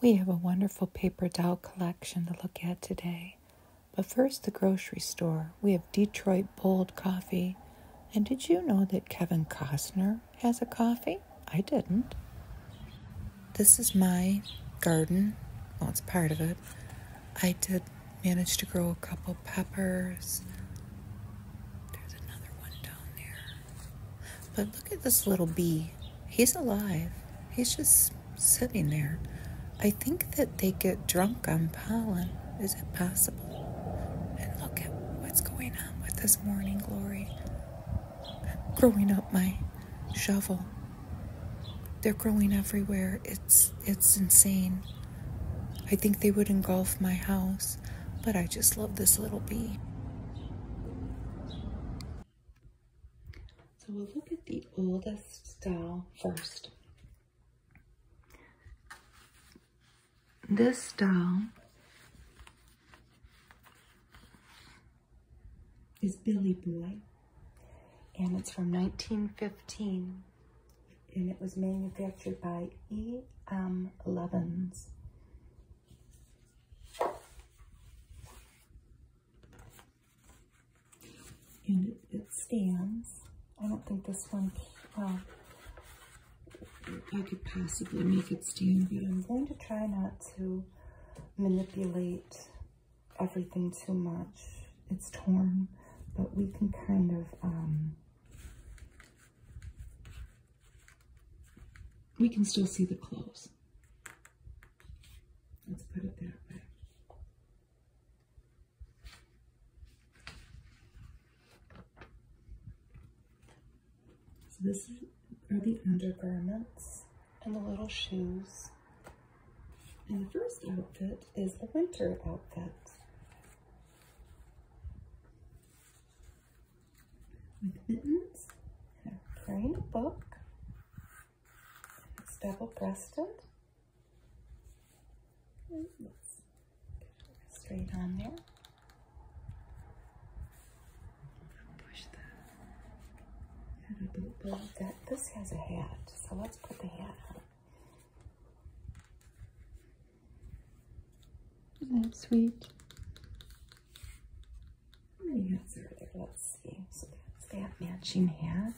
We have a wonderful paper doll collection to look at today. But first, the grocery store. We have Detroit Bold coffee. And did you know that Kevin Costner has a coffee? I didn't. This is my garden. Well, it's part of it. I did manage to grow a couple peppers. There's another one down there. But look at this little bee. He's alive. He's just sitting there. I think that they get drunk on pollen. Is it possible? And look at what's going on with this morning glory. Growing up my shovel. They're growing everywhere. It's it's insane. I think they would engulf my house, but I just love this little bee. So we'll look at the oldest style first. This style is Billy Boy and it's from 1915 and it was manufactured by E.M. Levens. And it, stands. I don't think this one, uh, I could possibly make it stand, but I'm going to try not to manipulate everything too much. It's torn, but we can kind of, um, we can still see the clothes. Let's put it that way. So this are the undergarments and the little shoes. And the first outfit is the winter outfit. With mittens and a praying book it's double-breasted. straight on there. Push That, this has a hat, so let's put the hat on. is sweet? Let's see. So that's that matching hat.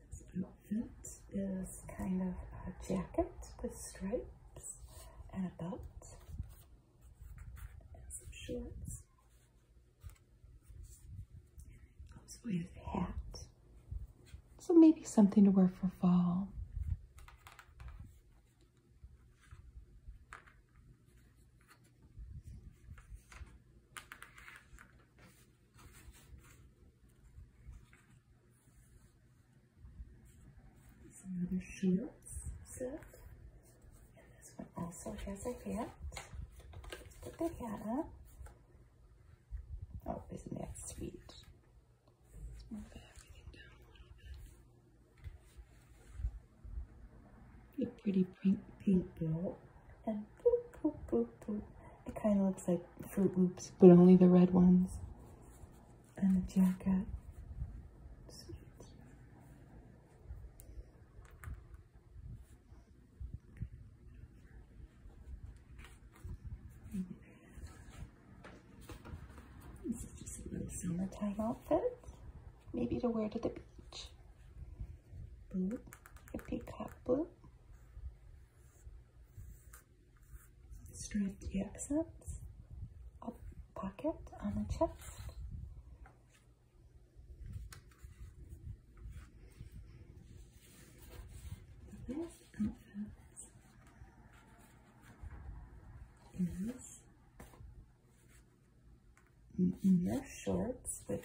This outfit is kind of a jacket with stripes and a belt and some shorts with hat. So maybe something to wear for fall. Some other set. this one also has a hat. Let's put the hat up. Oh, isn't that sweet? Let's a pretty pink, pink block. And It kind of looks like Fruit Loops, but only the red ones. And the jacket. This is just a little summertime outfit. Maybe to wear to the beach. Blue, a peacock blue. Striped accents. A pocket on the chest. This outfit is mere shorts, which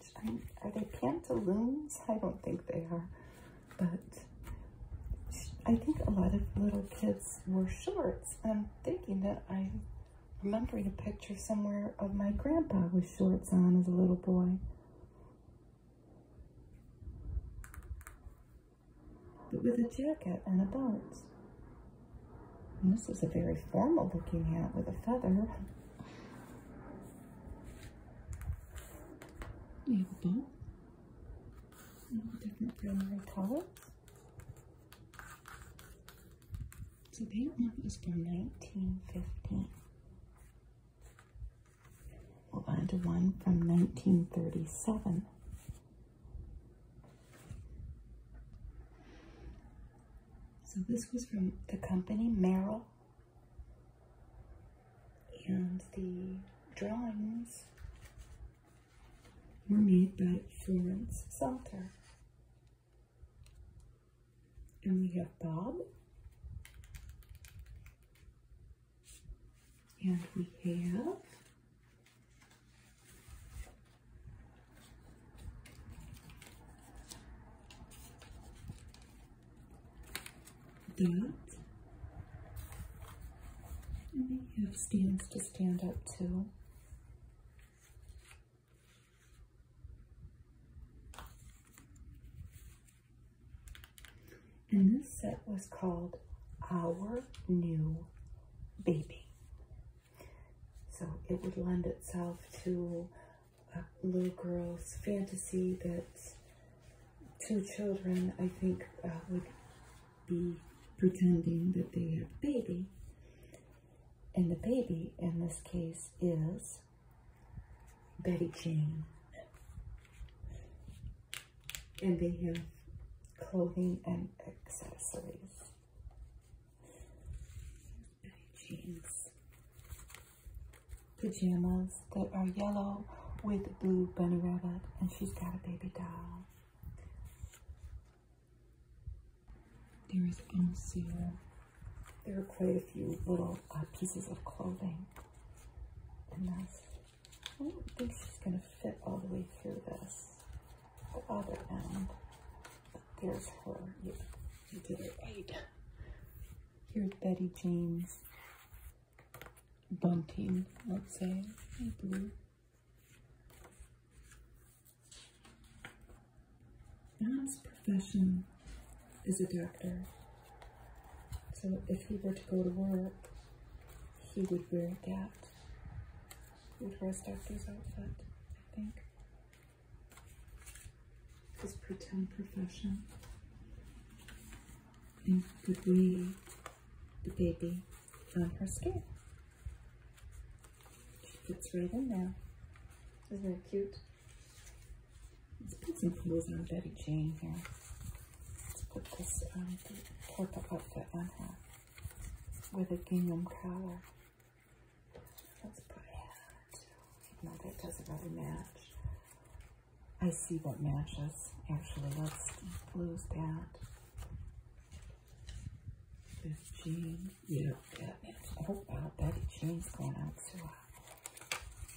are they pantaloons? I don't think they are, but I think a lot of little kids wore shorts. I'm thinking that i remember a picture somewhere of my grandpa with shorts on as a little boy but with a jacket and a belt. this is a very formal looking hat with a feather. You have a bow. Mm-hmm. Different primary colors. So that one is from 1915. Move on to one from 1937. So this was from the company Merrill. And the drawings were made by Florence Salter. And we have Bob. And we have that. And we have stands to stand up to. And this set was called Our New Baby. So it would lend itself to a little girl's fantasy that two children, I think, uh, would be pretending that they have a baby. And the baby, in this case, is Betty Jane. And they have clothing and accessories. Betty Jeans. Pajamas that are yellow with blue bunny rabbit. And she's got a baby doll. There is Onseal. There are quite a few little uh, pieces of clothing. I don't think she's going to fit all the way through this. The other end. there's her. You, did it right. Here's Betty Jane's bunting, let's say. Hey, Blue. That's profession is a doctor. So if he were to go to work, he would wear that. He would wear his doctor's outfit, I think. His pretend profession. And could weigh the baby on her skin? She fits right in there. Isn't that cute? Let's put some clothes on Betty Jane here. Let's put this um, purple outfit on her with a gingham collar. Let's put it, even though that doesn't really match. I see what matches. Actually, let's lose that. This jean. Yeah, that matches. Oh, uh, wow, Betty Jean's going out too.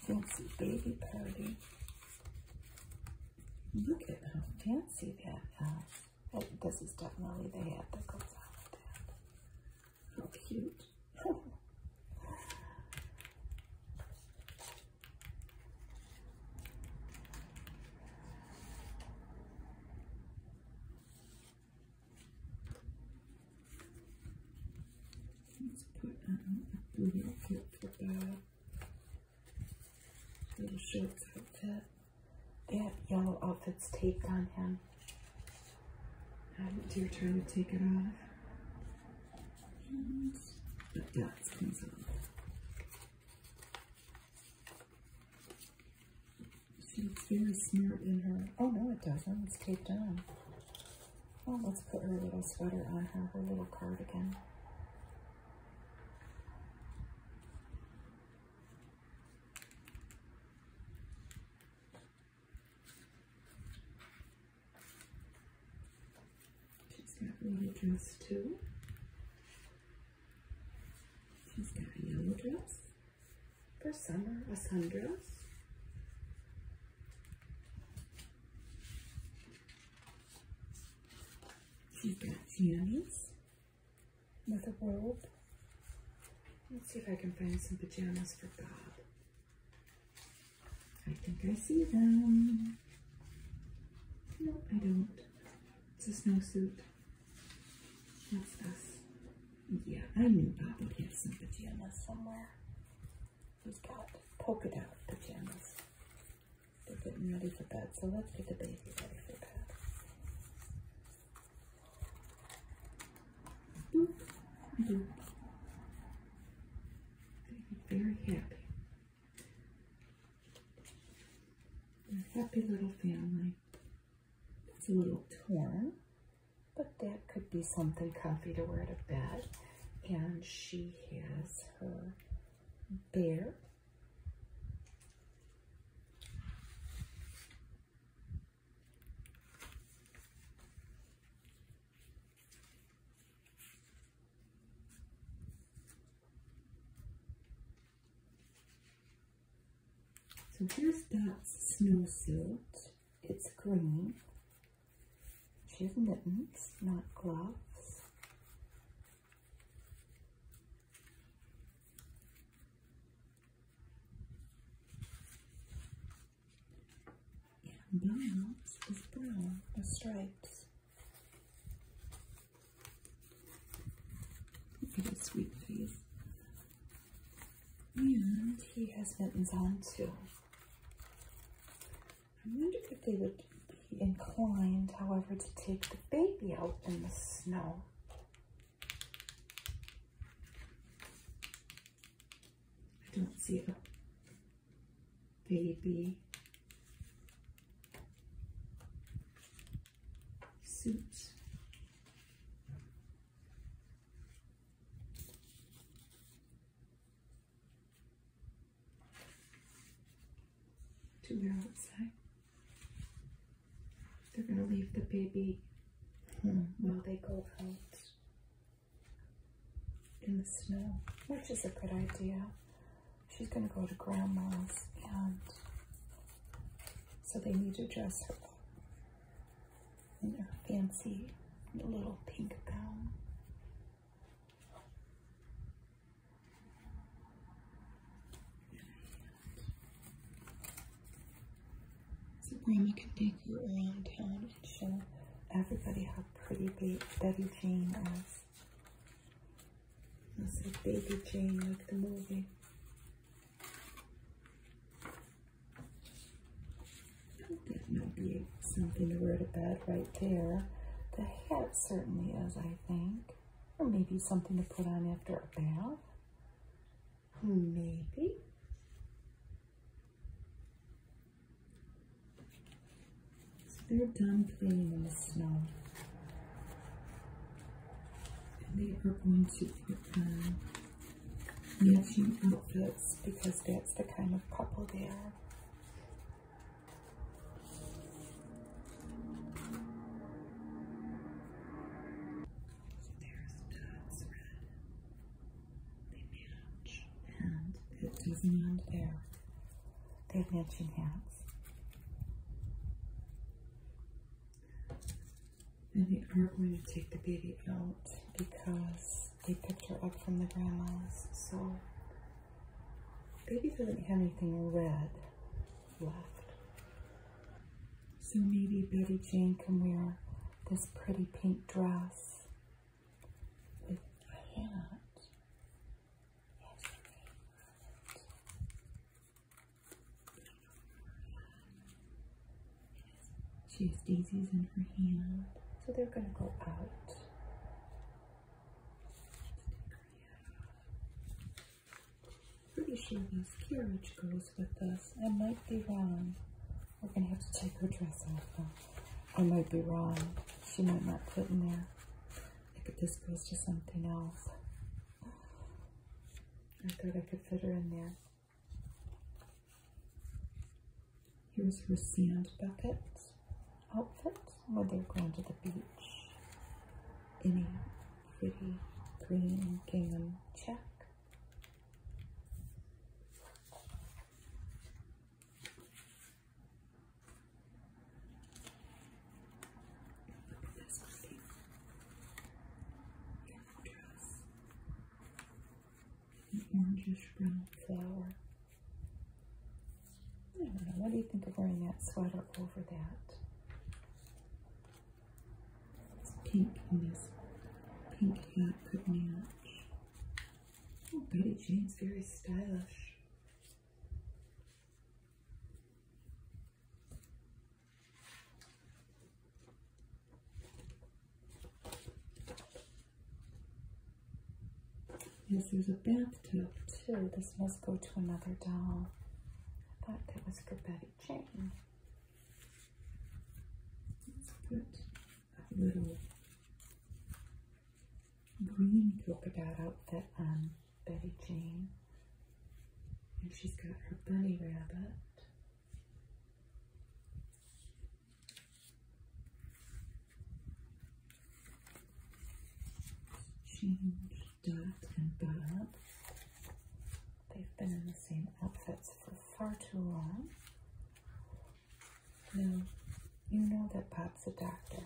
Fancy baby party. Look at how fancy that is. Oh, this is definitely the hat that goes cute. Let's put on uh, a Little shorts That yellow outfit's taped on him. Haven't um, you trying to take it off? And the dots comes She looks very smart in her. Oh no, it doesn't. It's taped on let's put her little sweater on her, her little cardigan. She's got little dress too. She's got a yellow dress for summer, a sundress she got jammies with a robe. Let's see if I can find some pajamas for Bob. I think I see them. No, I don't. It's a snowsuit. That's us. Yeah, I knew Bob would have some pajamas somewhere. He's got polka dot pajamas. They're getting ready for bed, so let's get the baby ready for bed. Very happy. happy little family. It's a little torn, but that could be something comfy to wear to bed. And she has is So here's that snowsuit. It's green she has mittens, not gloves. And Bones is brown with stripes. Look at his sweet face. And he has mittens on too. I wonder if they would be inclined, however, to take the baby out in the snow. I don't see the baby suit to their outside. They're going to leave the baby while they go out in the snow, which is a good idea. She's going to go to grandma's, and so they need to dress her up in her fancy little pink gown. So Grandma can take you around town and show everybody how pretty baby Jane is. I said Baby Jane like the movie something to wear to bed right there. The hat certainly is, I think. Or maybe something to put on after a bath. Maybe. They're done playing in the snow. they are going to put on matching outfits because that's the kind of couple they are there's that's red. They match. And it is not there. They have matching hats. And they aren't going to take the baby out because they picked her up from the grandma's. So Baby doesn't have anything red left. So maybe Betty Jane can wear this pretty pink dress with a hat. She has daisies in her hand. So they're going to go out Pretty sure this carriage goes with this. I might be wrong. We're gonna have to take her dress off though. I might be wrong. She might not fit in there. Look could just go to something else. I thought I could fit her in there. Here's her sand bucket. Outfit when they're going to the beach Any pretty green gingham check. This pretty dress, an orangish flower. What do you think of wearing that sweater over that? It's pink in this pink hat could match. Oh, Betty Jane's very stylish. Yes, there's a bathtub too. This must go to another doll. I thought that was for Betty Jane. Let's put a little green polka dot outfit on Betty Jane. And she's got her bunny rabbit. Change, Dot, and Bob. They've been in the same outfits for far too long. you know that Bob's a doctor.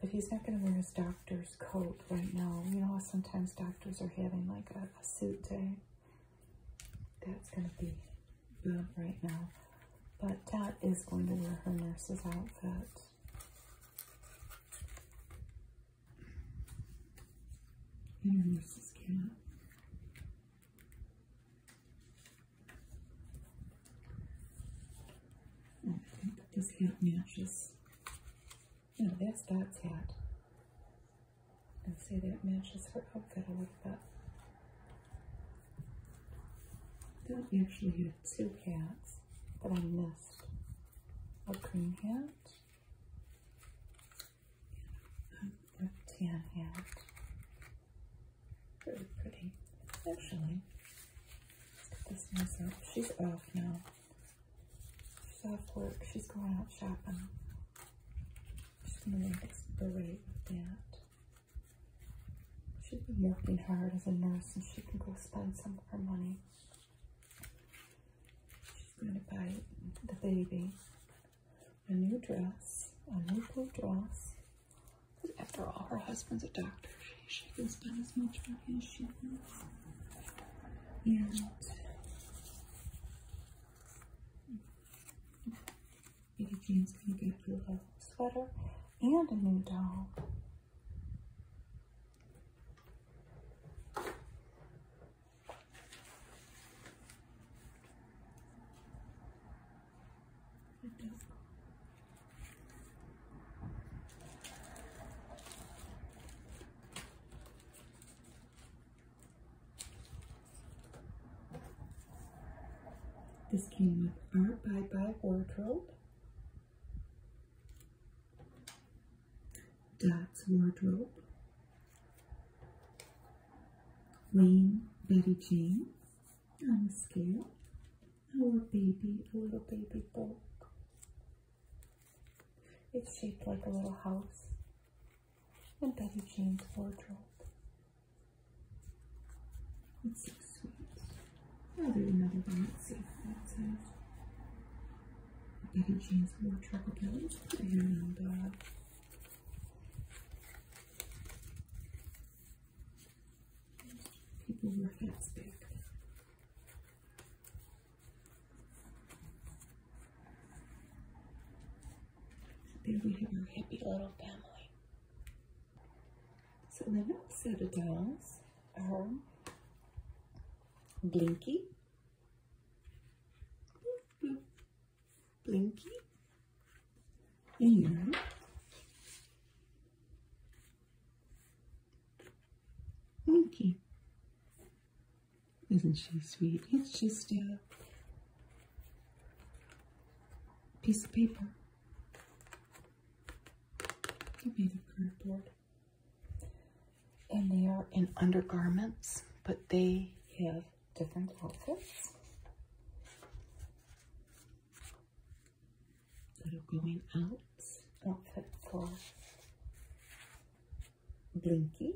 But he's not going to wear his doctor's coat right now. You know sometimes doctors are having like a, a suit day? That's going to be Bob right now. But Dot is going to wear her nurse's outfit. And her nurse's cap. Oh, I think this hat matches. No, that's Dot's hat. And see, that matches her outfit a little bit. I don't actually have two hats but I missed. A green hat a tan hat. Pretty pretty. Actually, this mess She's off now. She's off work. She's going out shopping. She's going to make with that. She's been working hard as a nurse and she can go spend some of her money. She's going to buy the baby a new dress, a new blue dress. Because after all, her husband's a doctor. She, can spend as much money as she wants. And mm, mm, mm. Baby Jane's going to get her a sweater and a new doll. This came with our Bye Bye wardrobe. Dad's Wardrobe, Wayne, Betty Jane, I'm scared. our baby, a little baby dog. It's shaped like a little house, and Betty Jane's wardrobe. It's so sweet. I'll do another one. Let's see what that says. Betty Jane's War Rockabilly and uh, people were hats back then. There we have our happy little family. So the next set of dolls her uh-huh. Blinky. Blinky. And mm-hmm. Monkey. Isn't she sweet? It's just a piece of paper. Could be the career And they are in undergarments, but they have different outfits that are going out. Outfit for Blinky.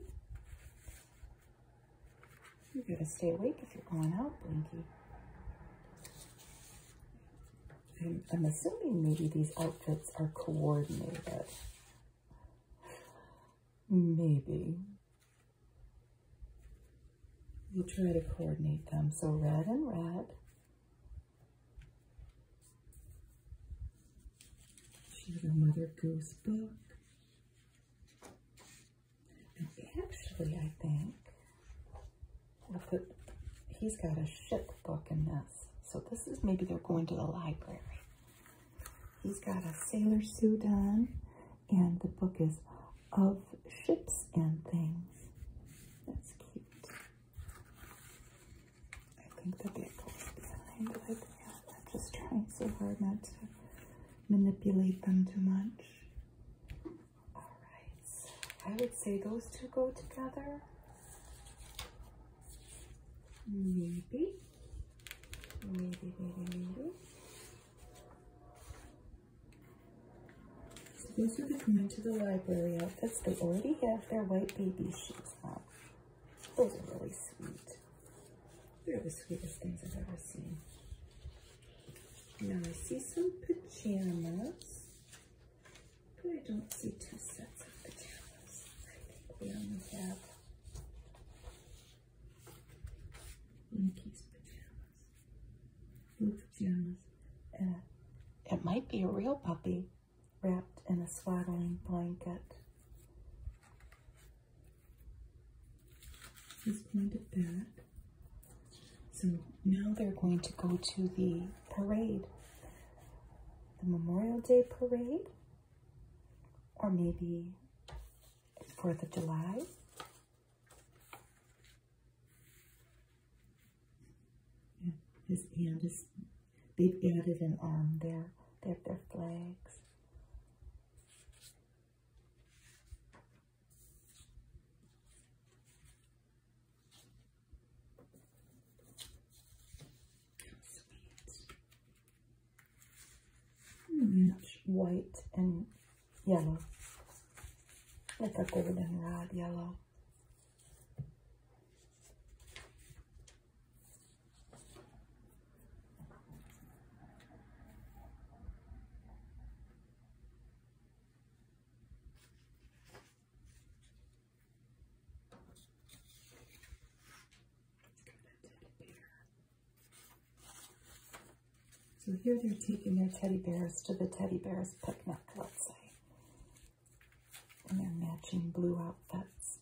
You gotta stay awake if you're going out, Blinky. I'm, assuming maybe these outfits are coordinated. Maybe. You try to coordinate them. So red and red. She has a Mother Goose book. actually, I think Look at, he's got a ship book in this. So this is maybe they're going to the library. He's got a sailor suit on, and the book is Of Ships and Things. That's cute. I think the back goes behind like I'm just trying so hard not to manipulate them too much. All right. I would say those two go together. Maybe. Maybe, maybe, maybe. So these will be coming to the library outfits. They already have their white baby sheets on. Those are really sweet. They're the sweetest things I've ever seen. Now I see some pajamas. I don't see two sets of pajamas. I think we only have Mickey's pajamas. Blue pajamas. Uh, it might be a real puppy wrapped in a swaddling blanket. He's pointed back. So now they're going to go to the parade, the Memorial Day parade, or maybe 4th of July. Yeah, his hand is, they've added an arm there. They have their flags. Much white and yellow, like a red, yellow. So here they're taking their teddy bears to the teddy bears picnic, let's say. And they're matching blue outfits.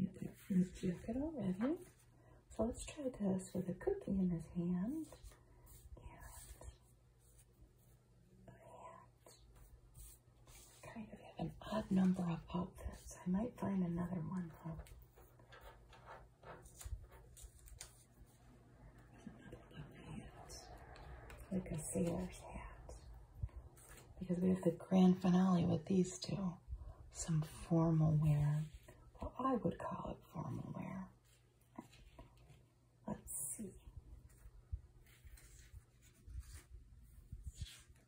Get that fringe jacket already. So let's try this with a cookie in his hand. I kind of have an odd number of outfits. I might find another one though. Like a sailor's hat. Because we have the grand finale with these two. Some formal wear. Well, I would call it formal wear. Let's see.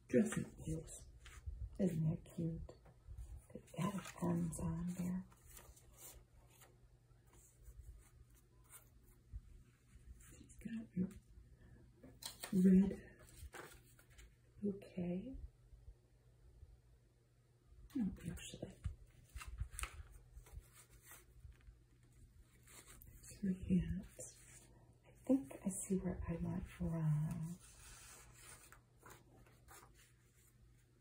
Dressing heels. Isn't that cute? They added pens on there. red bouquet. Oh, actually. Two hands. I think I see where I went wrong.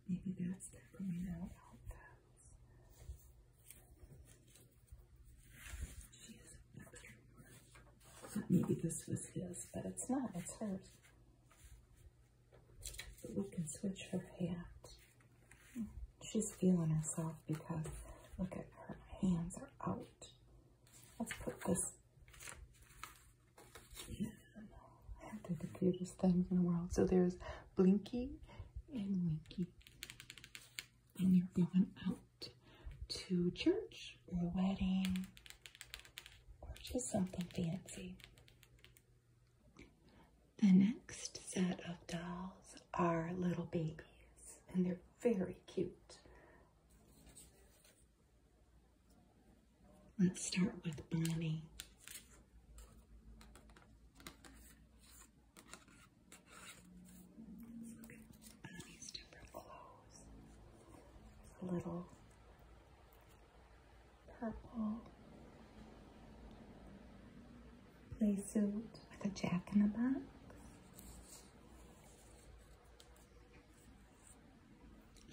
Maybe that's peppermint out outfits. She is a better maybe this was his, but it's not. It's hers. But we can switch her hand. She's feeling herself because look at her hands are out. Let's put this in. I the cutest things in the world. So there's Blinky and Winky. And you're going out to church or a wedding or just something fancy. The next set of dolls are little babies, and they're very cute. Let's start with Bonnie. Bonnie's different clothes. a little purple play suit with a jack in the box.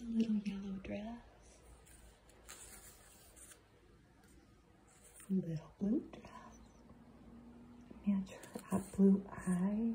A little yellow dress. little blue dress. Match her blue eyes.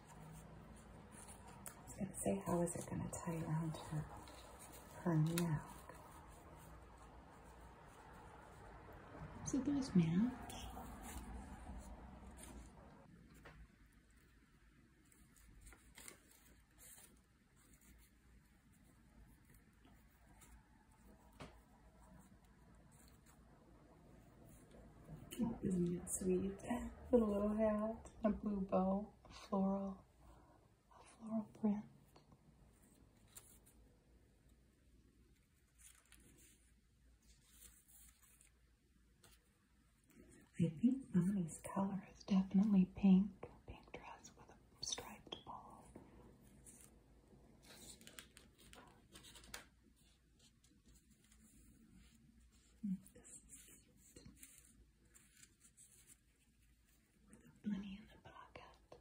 I was going to say, how is it going to tie around her, her neck? So there's match. Isn't it sweet? little hat a blue bow, a floral, a floral print. I think Bonnie's color is definitely pink. Pink dress with a striped ball. This in the pocket.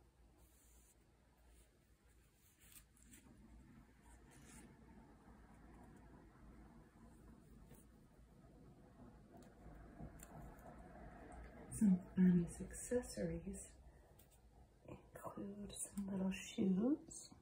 Some of accessories include some little shoes.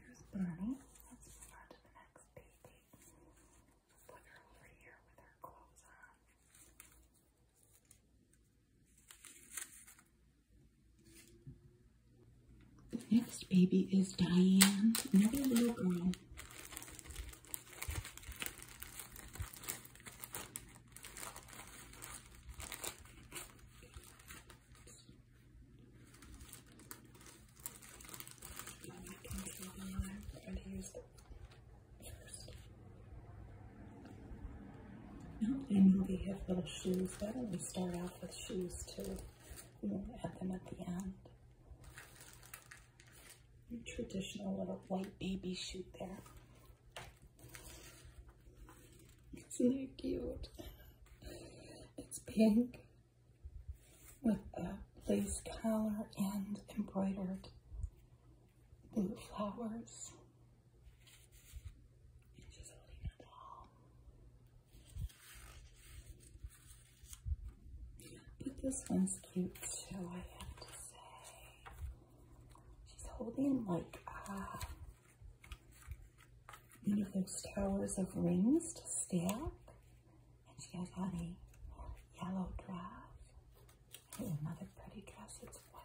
there's Bernie. Let's move on to the next baby. Put her over here with her clothes on. The next baby is Diane, another little girl. And they have little shoes there. We start off with shoes too. We'll add them at the end traditional little white baby shoot there. Isn't it cute? It's pink with a lace collar and embroidered blue flowers. But this one's cute, too. I have to She's holding like uh, one of those towers of rings to stack, and she has on a yellow dress and another pretty dress. It's white.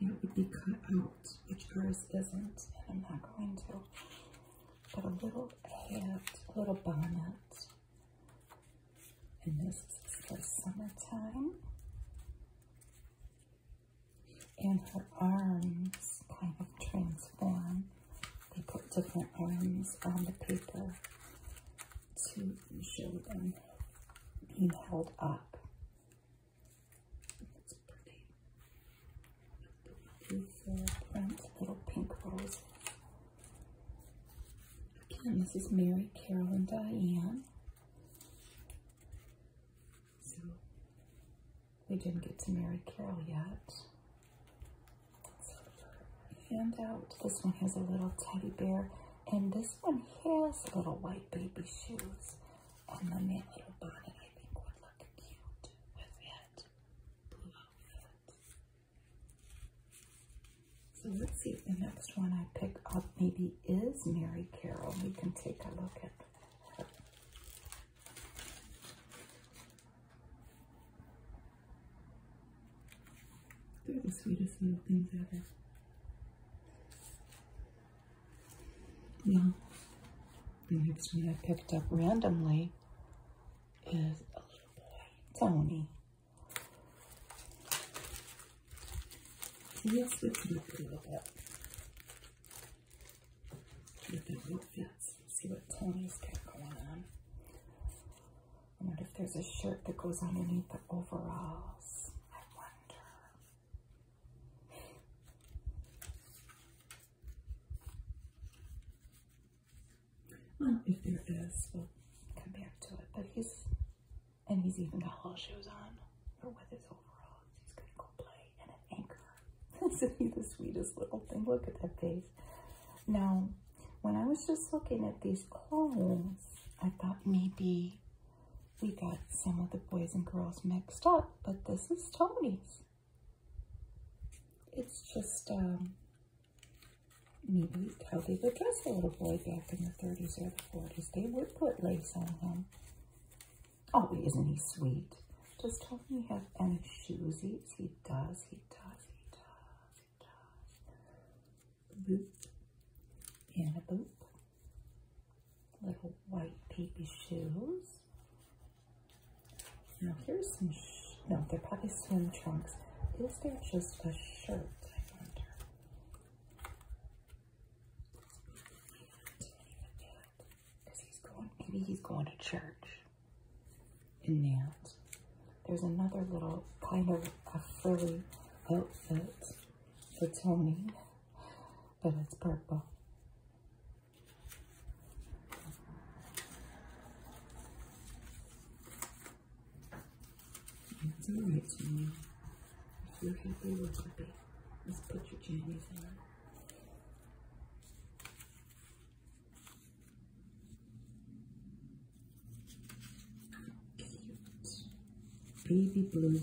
it would be cut out, which ours isn't, and I'm not going to. But a little hat, a little bonnet, and this is for summertime. And her arms kind of transform. They put different arms on the paper to show them being held up pretty. Uh, little pink rose. Again, this is Mary, Carol, and Diane. So we didn't get to Mary Carol yet. And out. This one has a little teddy bear, and this one has little white baby shoes. And then little bonnet I think would look cute with that blue outfit. So let's see if the next one I pick up maybe is Mary Carol. We can take a look at her. They're the sweetest little things ever. Now, the next one I picked up randomly is a little boy, Tony. Yes, it's look a little bit. With the See what Tony's got going on. I wonder if there's a shirt that goes underneath the overalls. I wonder. Well, if there is, we'll come back to it. But he's, and he's even got all shoes on, or with his overalls. He's gonna go play and an anchor. Isn't he the sweetest little thing? Look at that face. Now, when I was just looking at these clothes, I thought maybe we got some of the boys and girls mixed up, but this is Tony's. It's just um, maybe how they would dress a little boy back in the 30s or the 40s. They would put lace on him. Oh, isn't he sweet? Does Tony have any shoesies? He does, he does, he does, he does. Boop and a boop little white baby shoes. Now here's some, no, they're probably swim trunks. Is there just a shirt, maybe he's going to church in Nance. There's another little kind of a frilly outfit for Tony, but it's purple. It's alright, Jenny. If you're happy, we're happy. Let's put your jammies on. Cute. Baby blue.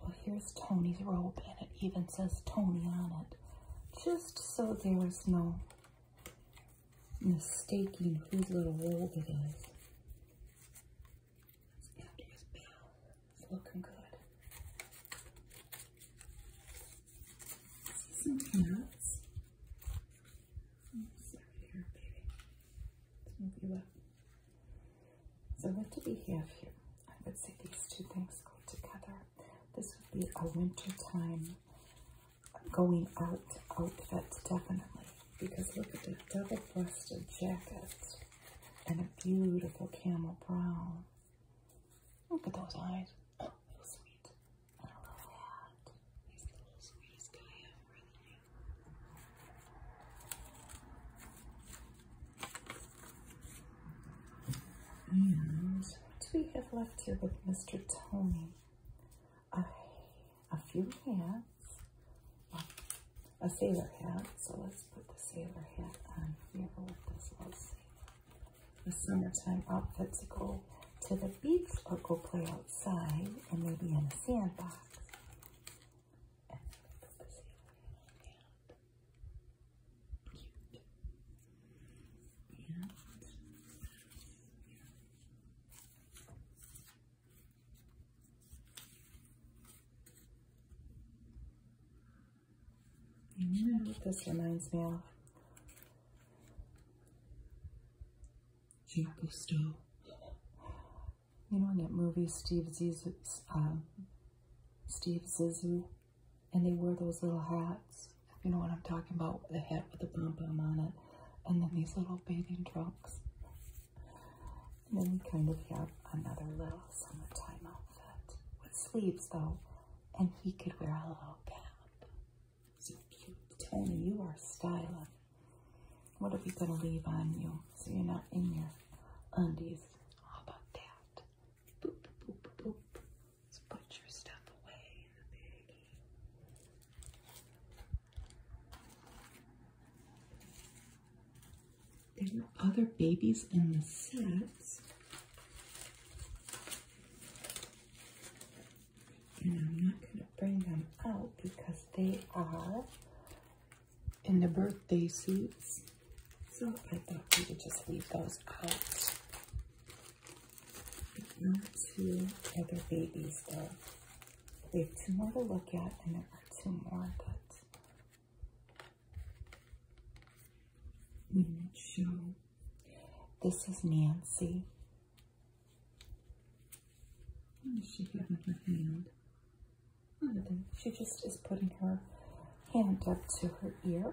Well, here's Tony's robe, and it even says Tony on it, just so there is no mistaking whose little robe it is. It's Andrew's bell. It's looking good. Some hats. Let's move you up. So what do we have here? I would say these two things go together. This would be a wintertime going out outfit, definitely. Because look at the double-breasted jacket and a beautiful camel brown. Look at those eyes. Oh, so sweet. He's the sweetest guy ever, and we have left here with Mr. Tony. a few hats, a sailor hat, so let's put the sailor hat on here with this little sailor. The summertime outfit to go to the beach or go play outside and maybe in a sandbox. And put the sailor hat you know what this reminds me of? Jake Gusto. You know that movie Steve Zissou, um, Steve Zissou and they wear those little hats, you know what I'm talking about, the hat with the pom pom on it, and then these little bathing trunks. And then we kind of have another little summertime outfit with sleeves though, and he could wear a little cap. So cute. Tony, you are styling. What are we gonna leave on you so you're not in your undies? How about that? Let's put your stuff away in There were other babies in the sets. And I'm not going to bring them out because they are in the birthday suits. So I thought we would just leave those out. Not two other babies though. We have two more to look at and there are two more that we might show. This is Nancy. What she have in her hand? She just is putting her hand up to her ear.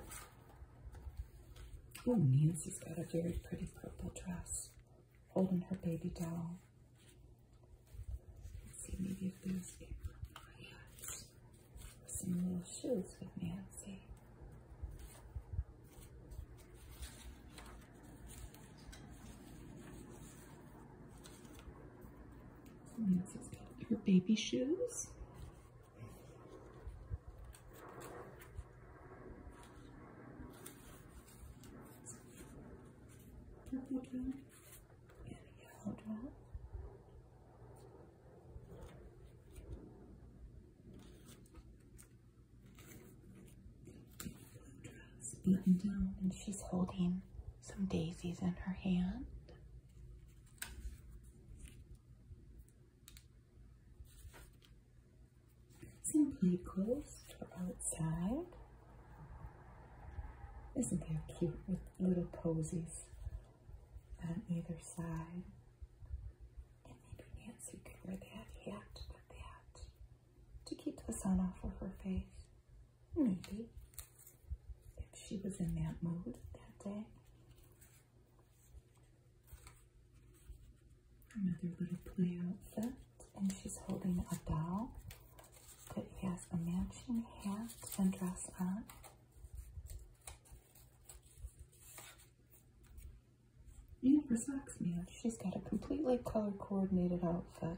Oh, Nancy's got a very pretty purple dress, holding her baby doll. see, maybe if there's a yes. some little shoes with Nancy. Nancy's got her baby shoes purple drop and a yellow drop. down, and she's holding some daisies in her hand. Some clothes for outside. Isn't there cute with little posies on either side? And maybe Nancy could wear that hat to keep the sun off of her face. Maybe if she was in that mood that day. Another little play outfit, and she's holding a doll that has a matching hat and dress on. You her socks match. She's got a completely color coordinated outfit.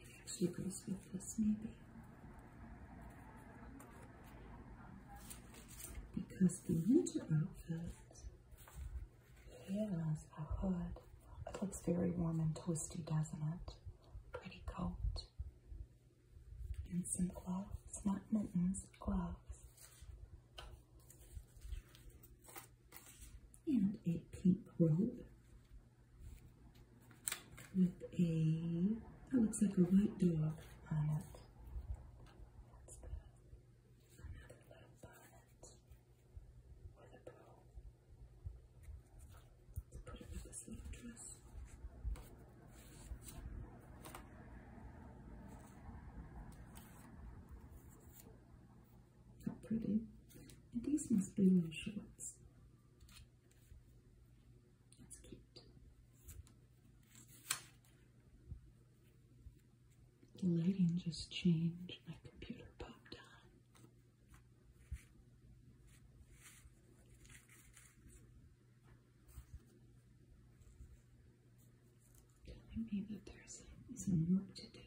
It actually goes with this, maybe. Because the winter outfit has a hood. It looks very warm and toasty, doesn't it? Pretty coat. And some gloves, not mittens, gloves. And a pink robe with a, that looks like a white dog on it. That's the, another little with a bow. Let's put it with this little dress. How pretty. And these must be my shorts. The lighting just changed. My computer popped on. Telling me that there's some work to do.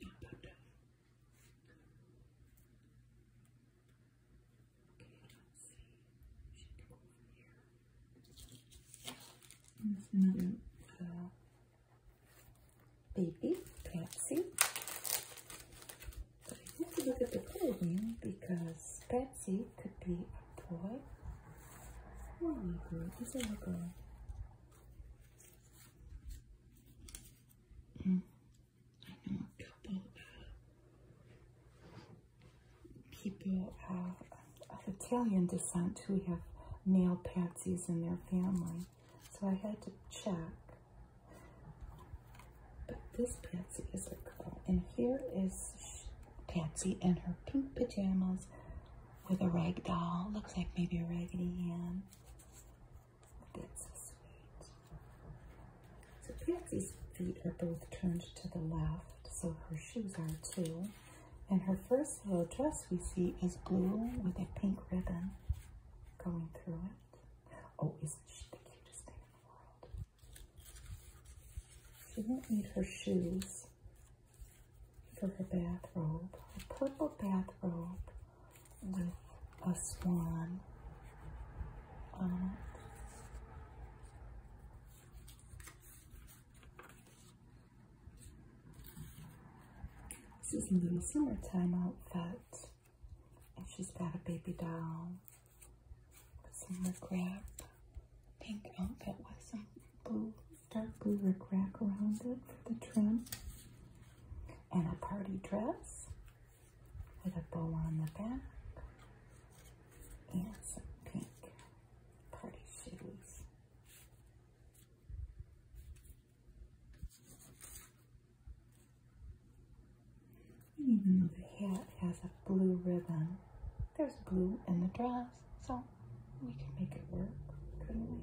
not know let another baby, Patsy. But I need to look at the clothing because Patsy could be a boy or a girl. Is a girl. I know a couple of people uh, of Italian descent who have male patsies in their family, so I had to check. But this Patsy is a girl, and here is Patsy in her pink pajamas with a rag doll. Looks like maybe a Raggedy Ann so sweet. Patsy's feet are both turned to the left, so her shoes are too. And her first little dress we see is blue with a pink ribbon going through it. Oh, isn't she the cutest thing in the world? She won't need her shoes for her bathrobe. A purple bathrobe with a swan um, This is a little summertime outfit. And she's got a baby doll with some rip wrap. Pink outfit with some blue, dark blue rip wrap around it for the trim and a party dress with a bow on the back and some pink party shoes. Even though the hat has a blue ribbon, there's blue in the dress, so we can make it work, couldn't we?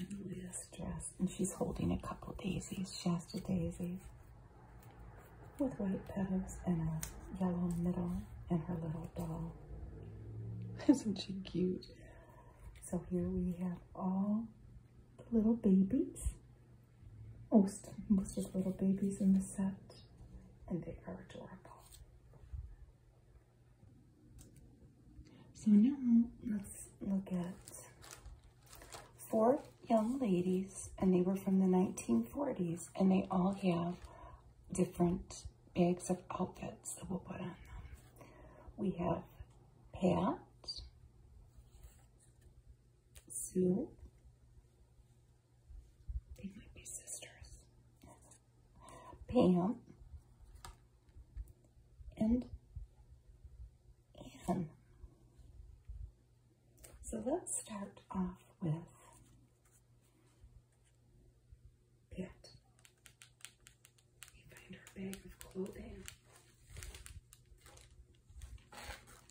This dress, and she's holding a couple daisies, Shasta daisies, with white petals and a yellow middle, and her little doll. Isn't she cute? So here we have all the little babies most of the little babies in the set, and they are adorable. So now let's look at four young ladies, and they were from the 1940s, and they all have different bags of outfits that we'll put on them. We have Pat, Sue, they might be sisters. Pam and Anne. So let's start off with Pit. We find our bag of clothing.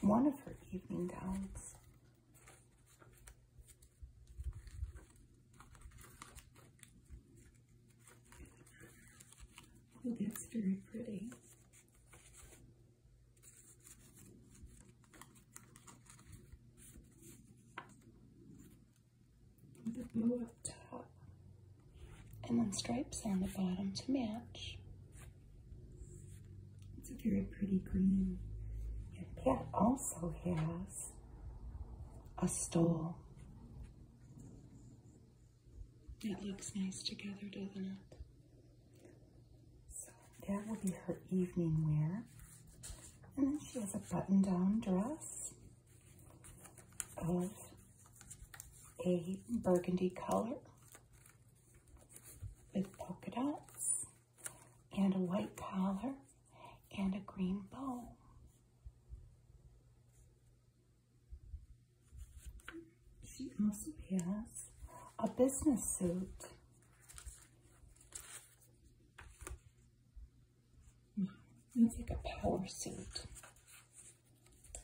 one of her evening gowns. Oh, that's very pretty. With blue up top. And then stripes on the bottom to match. It's a very pretty green. And Pat also has a stole. It looks nice together, doesn't it? So that will be her evening wear. And then she has a button-down dress of a burgundy color with polka dots and a white collar and a green bow. She also has a business suit. Mm-hmm. It's like a power suit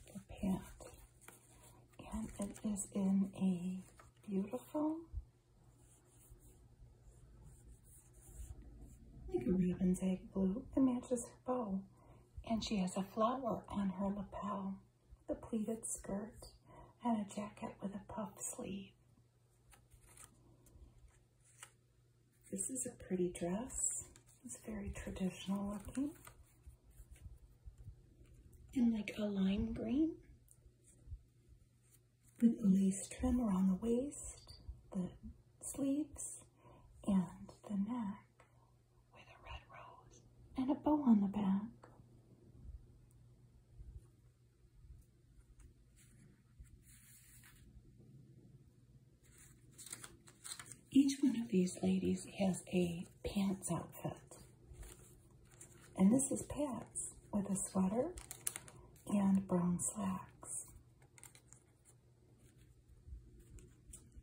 for Pat and it is in a beautiful like a Raven's egg blue. It matches her bow. And she has a flower on her lapel, the pleated skirt, and a jacket with a puff sleeve. This is a pretty dress. It's very traditional looking in like a lime green with lace trim around the waist, the sleeves, and the neck with a red rose and a bow on the back. Each one of these ladies has a pants outfit. And this is Pat's with a sweater and brown slacks.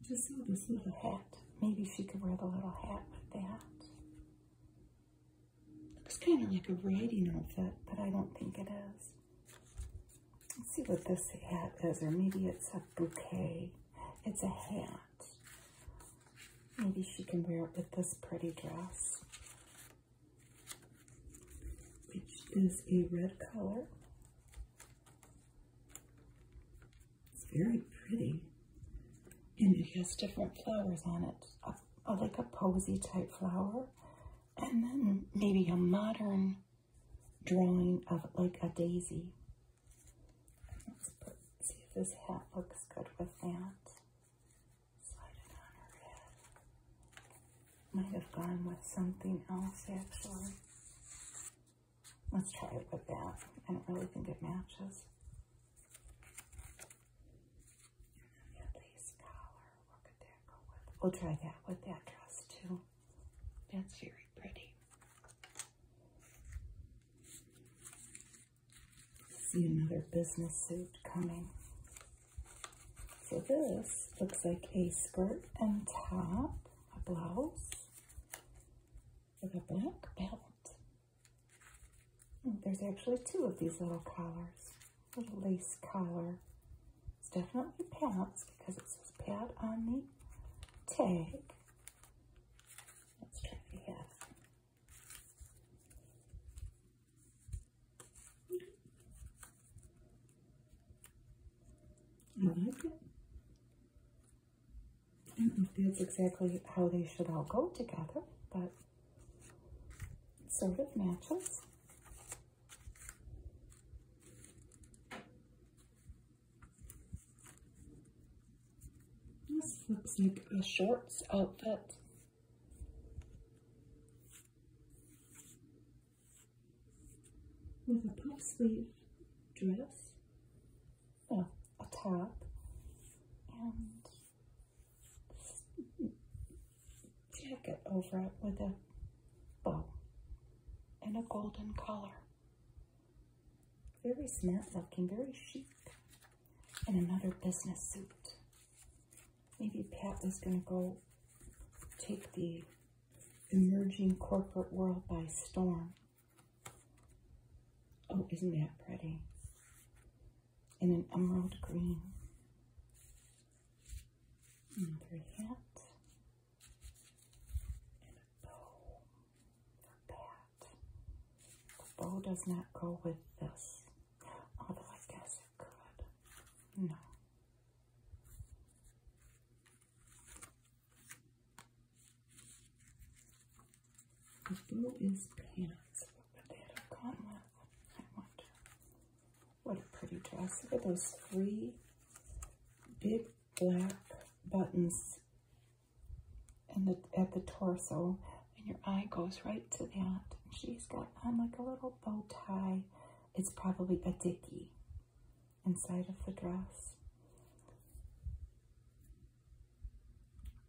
Just saw this little hat. Maybe she could wear the little hat with that. Looks kind of like a riding outfit, but I don't think it is. Let's see what this hat is, or maybe it's a bouquet. It's a hat. Maybe she can wear it with this pretty dress, which is a red color. It's very pretty. And it has different flowers on it, like a posy type flower. And then maybe a modern drawing of like a daisy. Let's see if this hat looks good with that. Slide Might have gone with something else actually. Let's try it with that. I don't really think it matches. We'll try that with that dress too. That's very pretty. See another business suit coming. So this looks like a skirt and top, a blouse with a black belt. Hmm, there's actually two of these little collars, little lace collar. It's definitely pants because it says pad on the tag. Let's try to I like it. Mm, I don't know if that's exactly how they should all go together, but sort of matches. This looks like a shorts outfit. With a puff sleeve dress, a, top, and jacket over it with a bow and a golden collar. Very smart looking, very chic in another business suit. Maybe Pat is going to go take the emerging corporate world by storm. Oh, isn't that pretty? In an emerald green. hat. And a bow for Pat. The bow does not go with this. Although oh, I guess it No. The pants. I wonder. What a pretty dress. Look at those three big black buttons and the, at the torso, and your eye goes right to that. She's got on like a little bow tie. It's probably a dicky inside of the dress.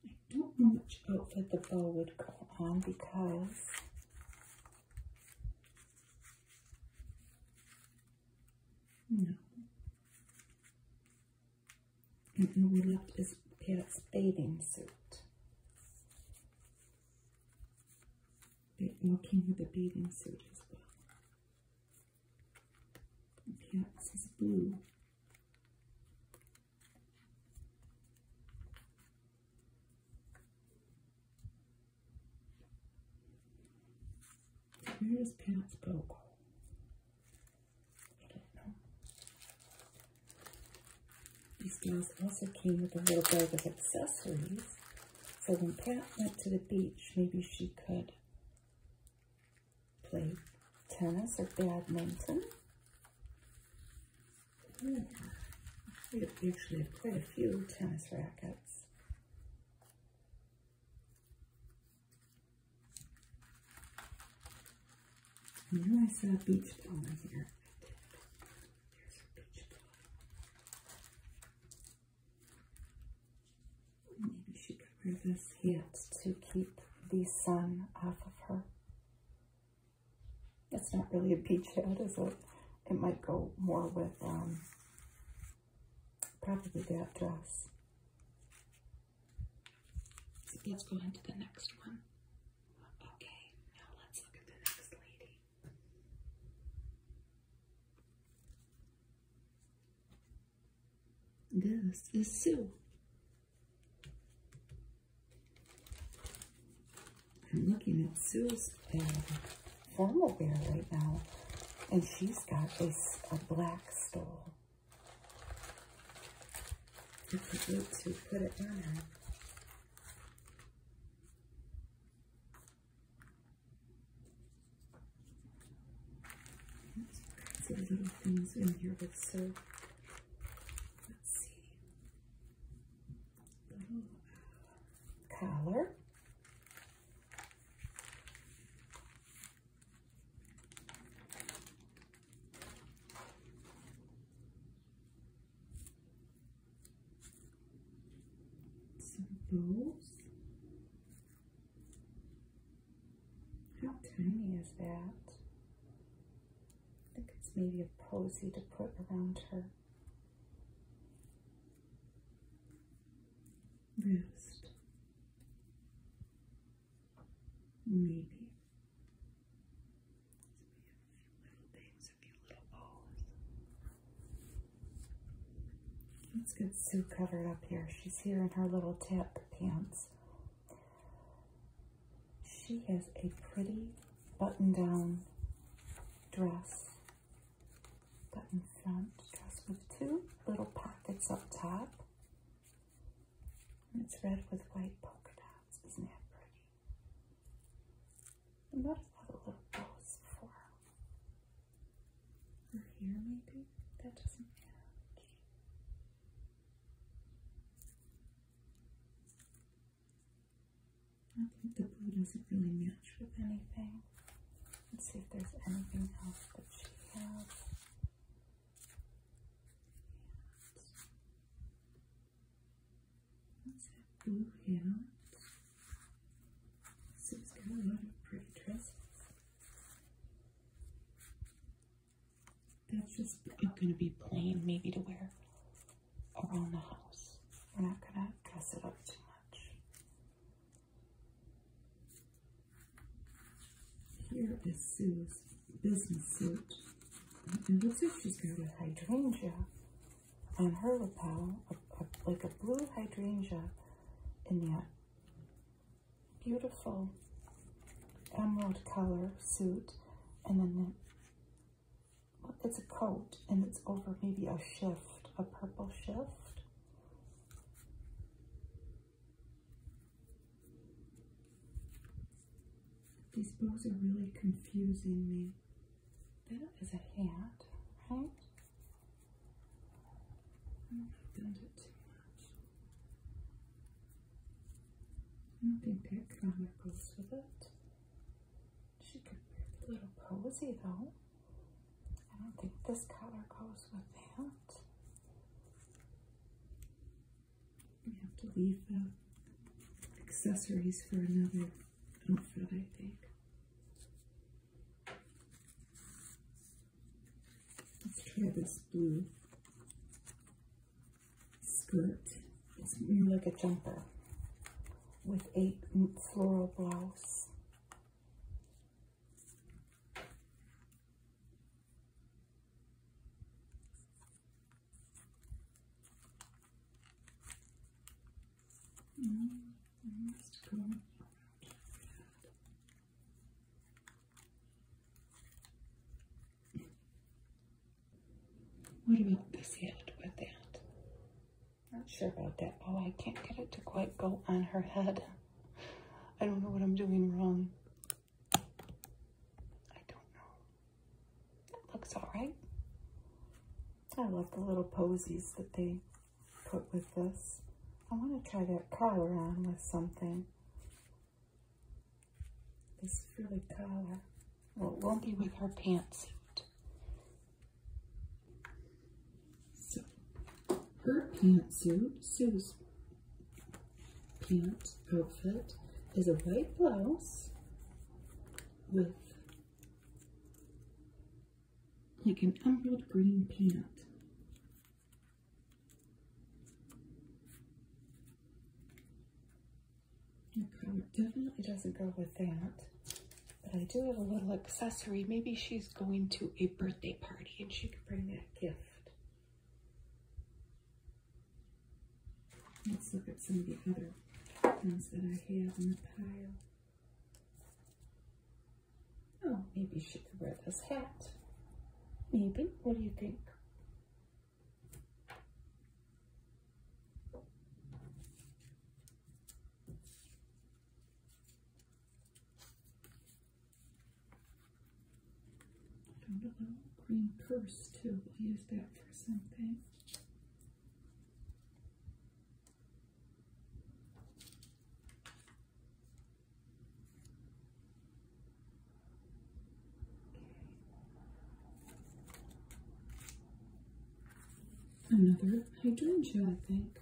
I don't know which outfit the bow would go on because no. And mm-hmm. all we left his pants bathing suit. They all came a bathing suit as well. And Pat's is blue. Where is pants bow? These dolls also came with a little bag of accessories. So when Pat went to the beach, maybe she could play tennis or badminton. Yeah. Hmm. We actually have quite a few tennis rackets. And then I saw a beach ball here. There's a beach ball. Maybe she could wear this hat to keep the sun off of her. That's not really a beach hat, is it? It might go more with um, probably that dress. Let's go on to the next one. Okay, now let's look at the next lady. This is Sue. I'm looking at Sue's formal bear right now, and she's got this a black stole if you need to put it down. her. Lots little things in here with so let's see. collar. So those. How tiny is that? I think it's maybe a posy to put around her wrist. Maybe. So we Let's get Sue covered up here. She's here in her little tip pants. She has a pretty button-down dress. Button front dress with two little pockets up top. And it's red with white polka dots. Isn't that pretty? The bottom have a little bows for her hair, maybe? That doesn't matter. I think the blue doesn't really match with anything. Let's see if there's anything else that she has. Let's Sue's got a lot of pretty dresses. That's just going to be plain, maybe to wear around the house. We're not going to dress it up too much. Here is Sue's business suit. And looks like she's got a hydrangea on her lapel, like a blue hydrangea in that beautiful emerald color suit. And then it's a coat and it's over maybe a shift, a purple shift. These bows are really confusing me. That is a hat, right? I've done it too much. I don't think that color goes with it. She could be a little posy though. I don't think this color goes with that. We have to leave the accessories for another outfit, I think. Let's try this blue skirt. It's more like a jumper with a floral blouse. What about this head with that? Not sure about that. Oh, I can't get it to quite go on her head. I don't know what I'm doing wrong. I don't know. That looks alright. I love the little posies that they put with this. I want to try that collar on with something. This frilly collar. Well, it won't be with her pantsuit. So, her pantsuit, Sue's pant outfit, is a white blouse with like an emerald green peanut. definitely doesn't go with that. But I do have a little accessory. Maybe she's going to a birthday party and she could bring that gift. Let's look at some of the other things that I have in the pile. Oh, maybe she could wear this hat. Maybe. What do you think? Found a little green purse too. We'll use that for something. Another hydrangea, I think.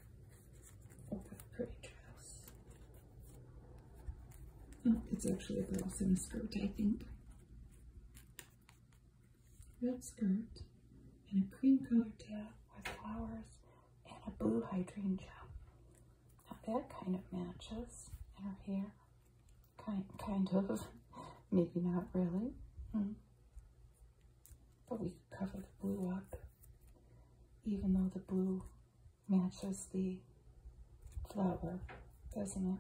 Oh, that pretty dress. Oh, it's actually a blouse and skirt, I think red skirt, and a cream colored tab with flowers and a blue hydrangea. Now that kind of matches in her hair. Kind, kind of. Maybe not really. Hmm. But we could cover the blue up, even though the blue matches the flower, doesn't it?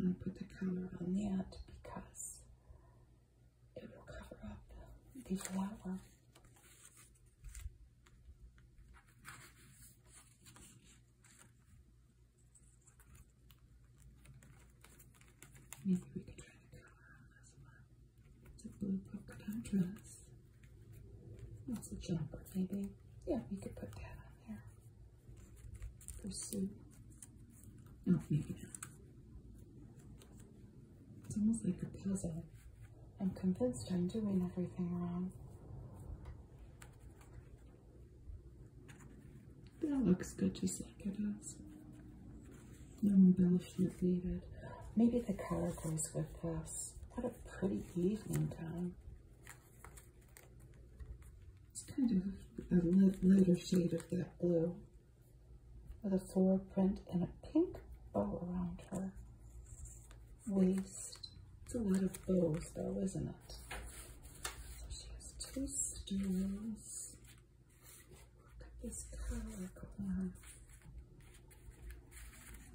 I am gonna put the counter on that because it will cover up the flower. Maybe we could try to cover this one. It's a blue polka dot dress. That's a jumper, maybe. Yeah, we could put that on there. Pursue. No, maybe It's almost like a puzzle. I'm convinced I'm doing everything wrong. That looks good just like it is. No embellishment needed. Maybe the color goes with this. What a pretty evening time. It's kind of a lighter shade of that blue with a floral print and a pink bow around her waist. It's a lot of bows though, isn't it? So she has two stones. Look at this color collar.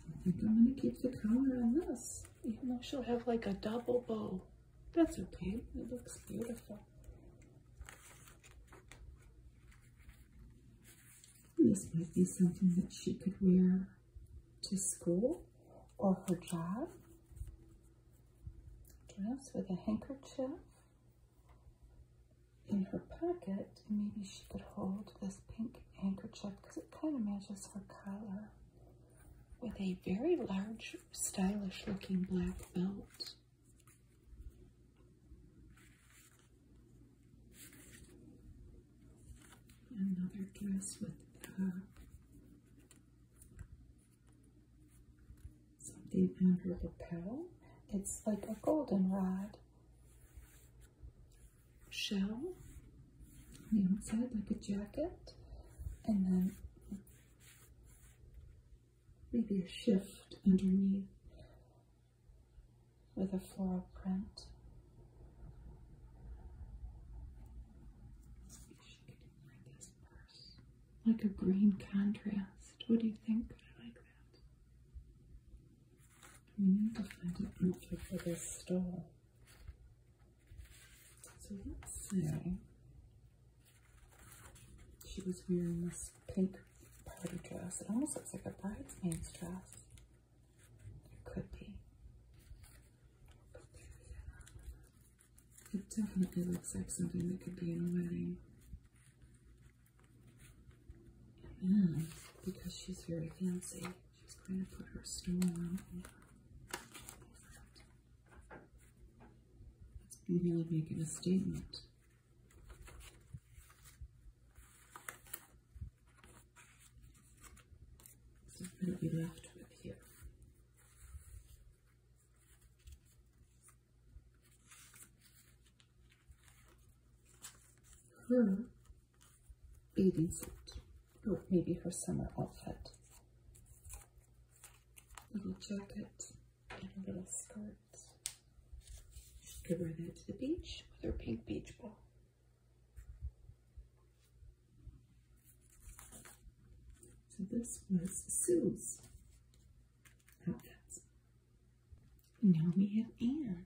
I think I'm going to keep the color on this even though she'll have like a double bow. That's okay, it looks beautiful. This might be something that she could wear to school or her job. Dress with a handkerchief in her pocket. Maybe she could hold this pink handkerchief because it kind of matches her color with a very large, stylish looking black belt. Another dress with something under the petal. It's like a goldenrod shell on the outside like a jacket and then maybe a shift underneath with a floral print. Like a green contrast. What do you think? I like that. need to find an for this stole. So let's see. she was wearing this pink party dress. It almost looks like a bridesmaid's dress. It could be. It definitely looks like something that could be in a wedding. And mm, because she's very fancy, She's going to put her stone on over It's really making a statement. So i going to be left with here. Her bathing suit or maybe her summer outfit. Little jacket and a little skirt. Just could her that to the beach with her pink beach ball. So this was Sue's outfit. Now we have Anne.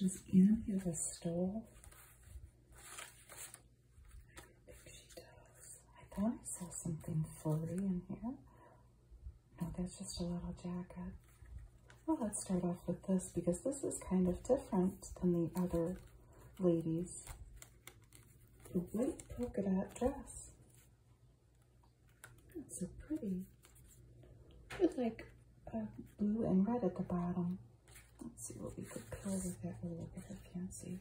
Just in here the stove. I think she does. I thought I saw something flirty in here. No, that's just a little jacket. Well, let's start off with this because this is kind of different than the other ladies the white polka dot dress. It's so pretty. With like a blue and red at the bottom. Let's see what we could pull with that little bit of fancy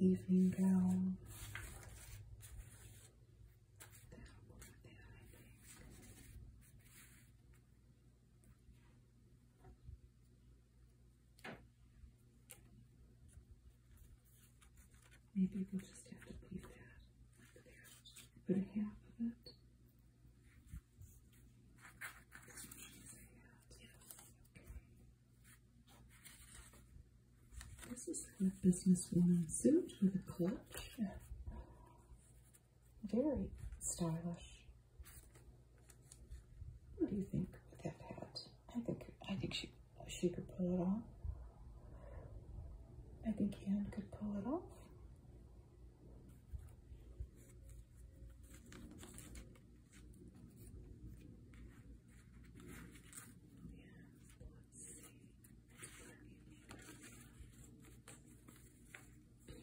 evening gown. Maybe we'll just have to leave that Put a half of it. This one should say This is a businesswoman suit with a clutch. Very stylish. What do you think with that hat? I think I think she she could pull it off. I think Anne could pull it off.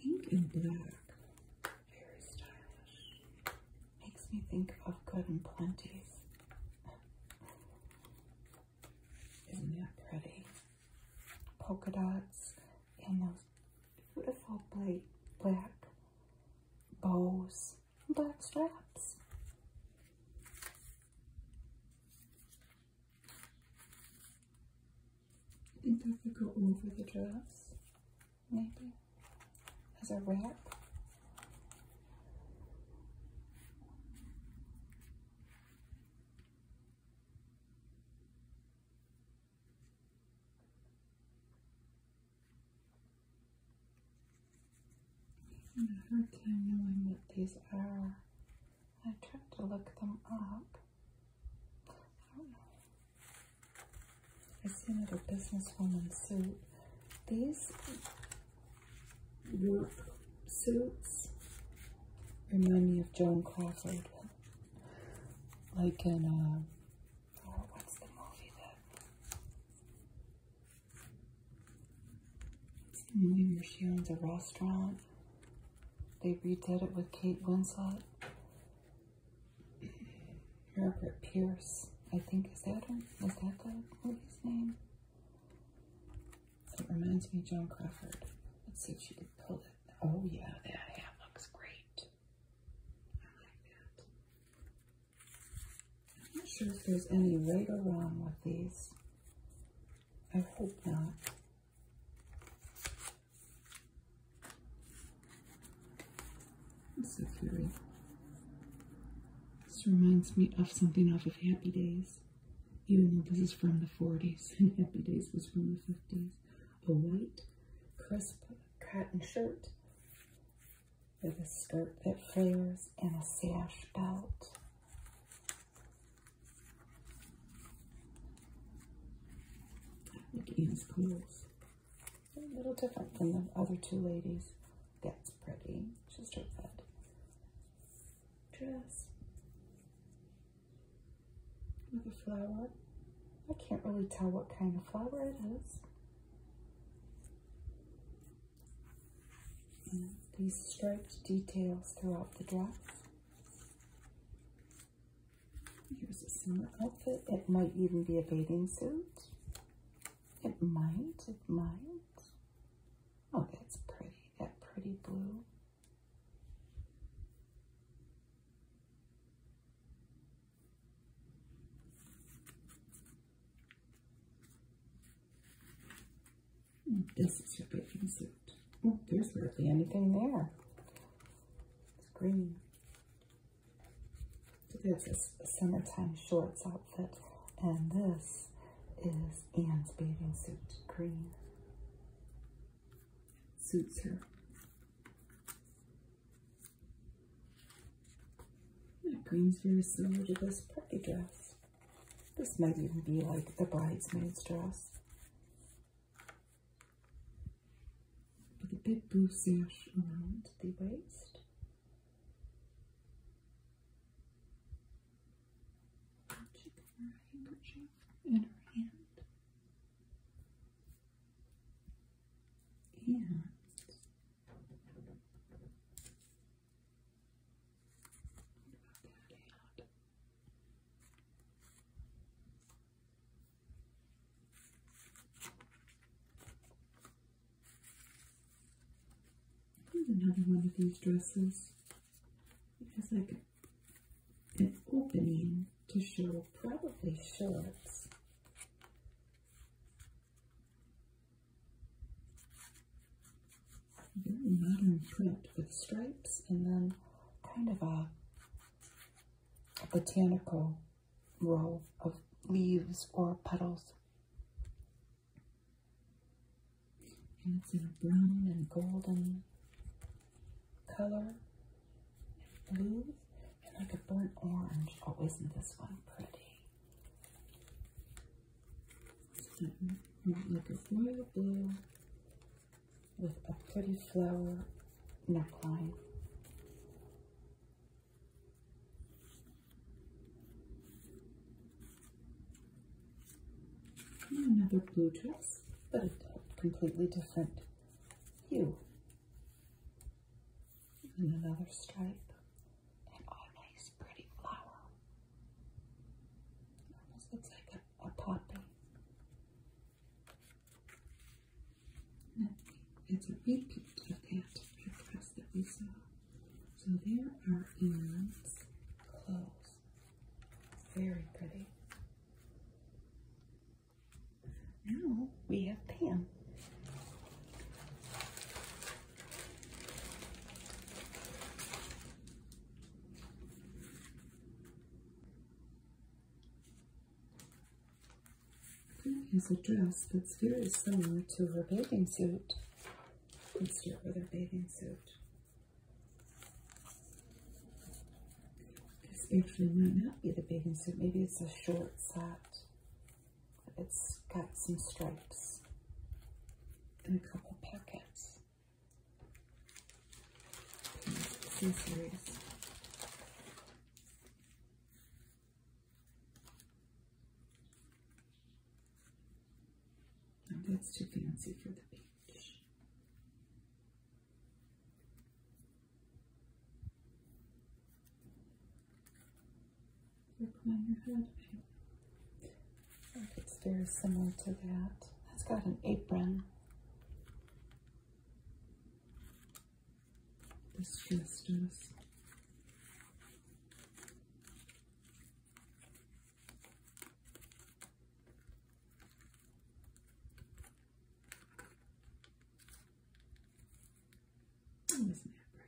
Pink and black. Very stylish. Makes me think of Good and plenty. Isn't that pretty? Polka dots and those beautiful black bows and black straps. I think I could go over the dress maybe, as a wrap. I have not hard time knowing what these are. I tried to look them up. I see another businesswoman suit. These work suits remind me of Joan Crawford. Like in, uh, oh, what's the movie that? the movie where she owns a restaurant. They redid it with Kate Winslet. Herbert Pierce, I think, is that him? that the movie's name? It reminds me of Joan Crawford. Let's see if she can pull it. Oh yeah, that hat looks great. I like that. I'm not sure if there's any right or wrong with these. I hope not. This reminds me of something off of Happy Days. Even though this is from the 40s and Happy Days was from the 50s. A white, crisp cotton shirt with a skirt that flares and a sash belt. Look at his clothes a little different than the other two ladies. That's pretty. Just her red dress. Another flower. I can't really tell what kind of flower it is. Mm, these striped details throughout the dress. Here's a similar outfit. It might even be a bathing suit. It might, it might. Oh, that's pretty, that pretty blue. This is your bathing suit. Oh, there's hardly anything there. It's green. It's a summertime shorts outfit. And this is Anne's bathing suit, green. Suits her. That green's very similar to this party dress. This might even be like the bridesmaid's dress with a bamboo sash around the waist. She her handkerchief in her hand. And Here's having one of these dresses. It has like an opening to show probably shorts. Very modern print with stripes and then kind of a botanical row of leaves or petals. And it's in a brown and golden color, and blue, and like a burnt orange. Oh, isn't this one pretty? Mm-hmm. Like a royal blue with a pretty flower neckline. Another blue dress, but a completely different hue. And another stripe, and oh, nice pretty flower. almost looks like a poppy. It's a repeat of that dress that we saw. So there are ends, clothes. Very pretty. Now we have Pam is a dress that's very similar to her bathing suit. Let's start with her bathing suit. This actually might not be the bathing suit. Maybe it's a short set. It's got some stripes and a couple pockets. Some series that's too fancy for the beach. Work on your head. I think it's very similar to that. That's got an apron this Festus. Oh, isn't that pretty?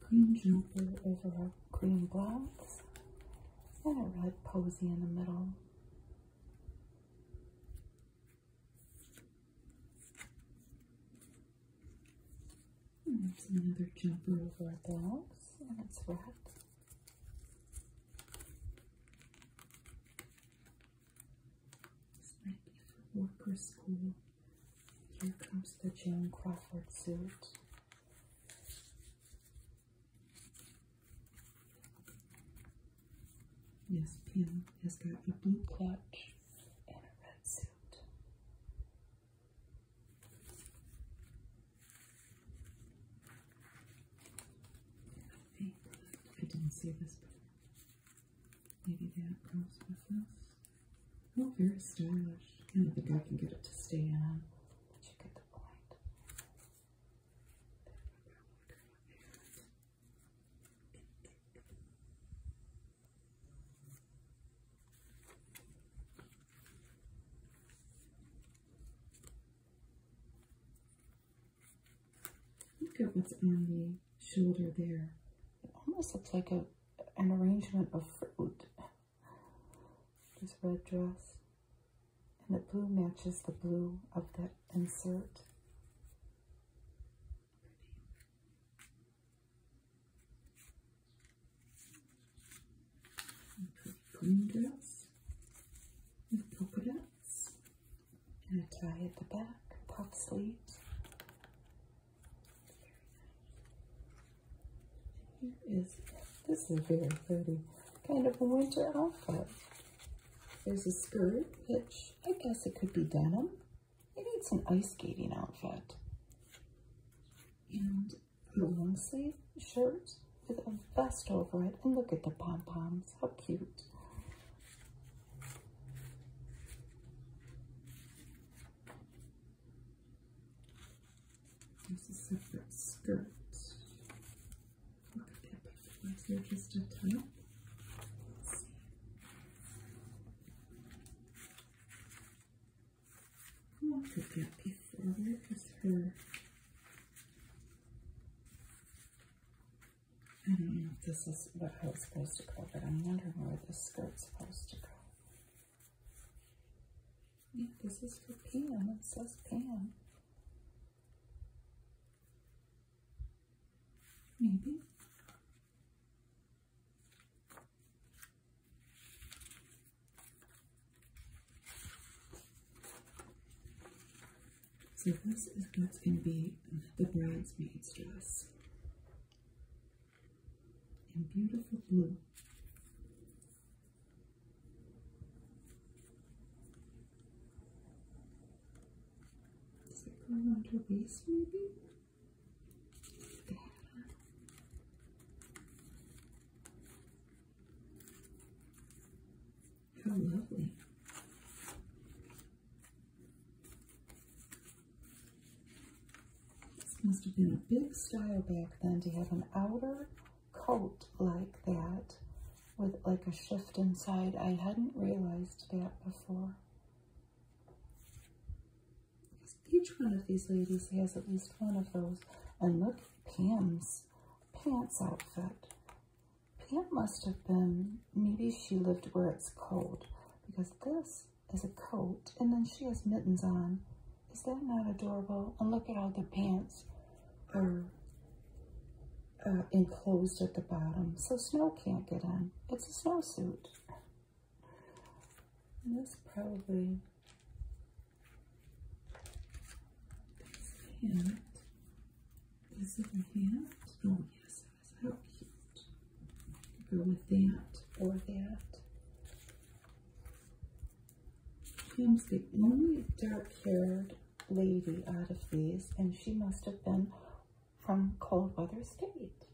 Green jumper over a green blouse and a red posy in the middle. And there's another jumper over a blouse and it's red. This might be for work or school. Here comes the Joan Crawford suit. Yes, Pim has got a blue clutch and a red suit. I I didn't see this before. Maybe that goes with this. Oh, very stylish. I don't think I can get it to stay on. but you get the point? Look at what's on shoulder there. It almost looks like a an arrangement of fruit. This red dress. And the blue matches the blue of that insert. Pretty. Green dress with polka dots and a tie at the back, puff sleeves, this is very pretty, kind of a winter outfit. There's a skirt, which I guess it could be denim. Maybe it's an ice skating outfit. And a long sleeve shirt with a vest over it. And look at the pom-poms, how cute. There's a separate skirt. Look at that perfect lines. just a top. What could that be for? Where is her? I don't know if this is what I was supposed to call, but I'm wondering where this skirt's supposed to go. Yeah, this is for Pam. It says Pam. Maybe. So this is what's going to be the bridesmaid's dress in beautiful blue. Does it go around her waist maybe? There. How lovely. This must have been a big style back then to have an outer coat like that with like a shift inside. I hadn't realized that before. Each one of these ladies has at least one of those. And look Pam's pants outfit. Pam must have been, maybe she lived where it's cold because this as a coat, and then she has mittens on. Is that not adorable? And look at how the pants are uh, enclosed at the bottom, so snow can't get in. It's a snowsuit. And this probably hand. Is it a hand? Oh yes, How cute. Go with that or that. Kim's the only dark-haired lady out of these, and she must have been from cold weather state.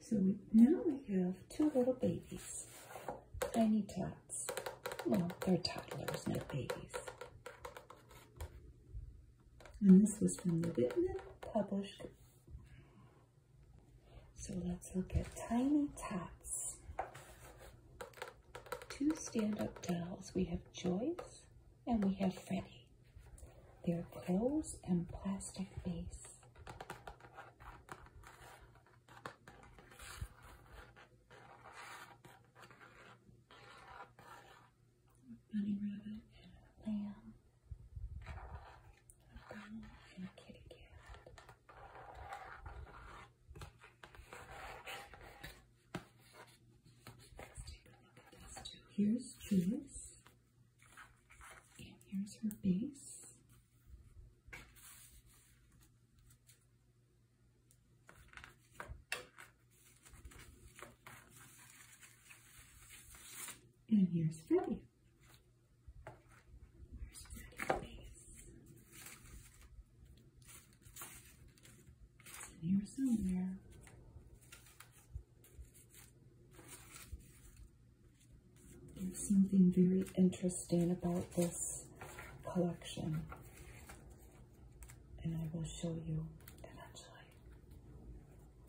So now we have two little babies, tiny tots. Well, they're toddlers, not babies. And this was from the Whitman Published so let's look at Tiny Tots. Two stand-up dolls. We have Joyce and we have Freddie. They're clothes and plastic base. bunny rabbit and lamb and Here's Jules. And here's her base. And here's Freddie. There's something very interesting about this collection, and I will show you eventually.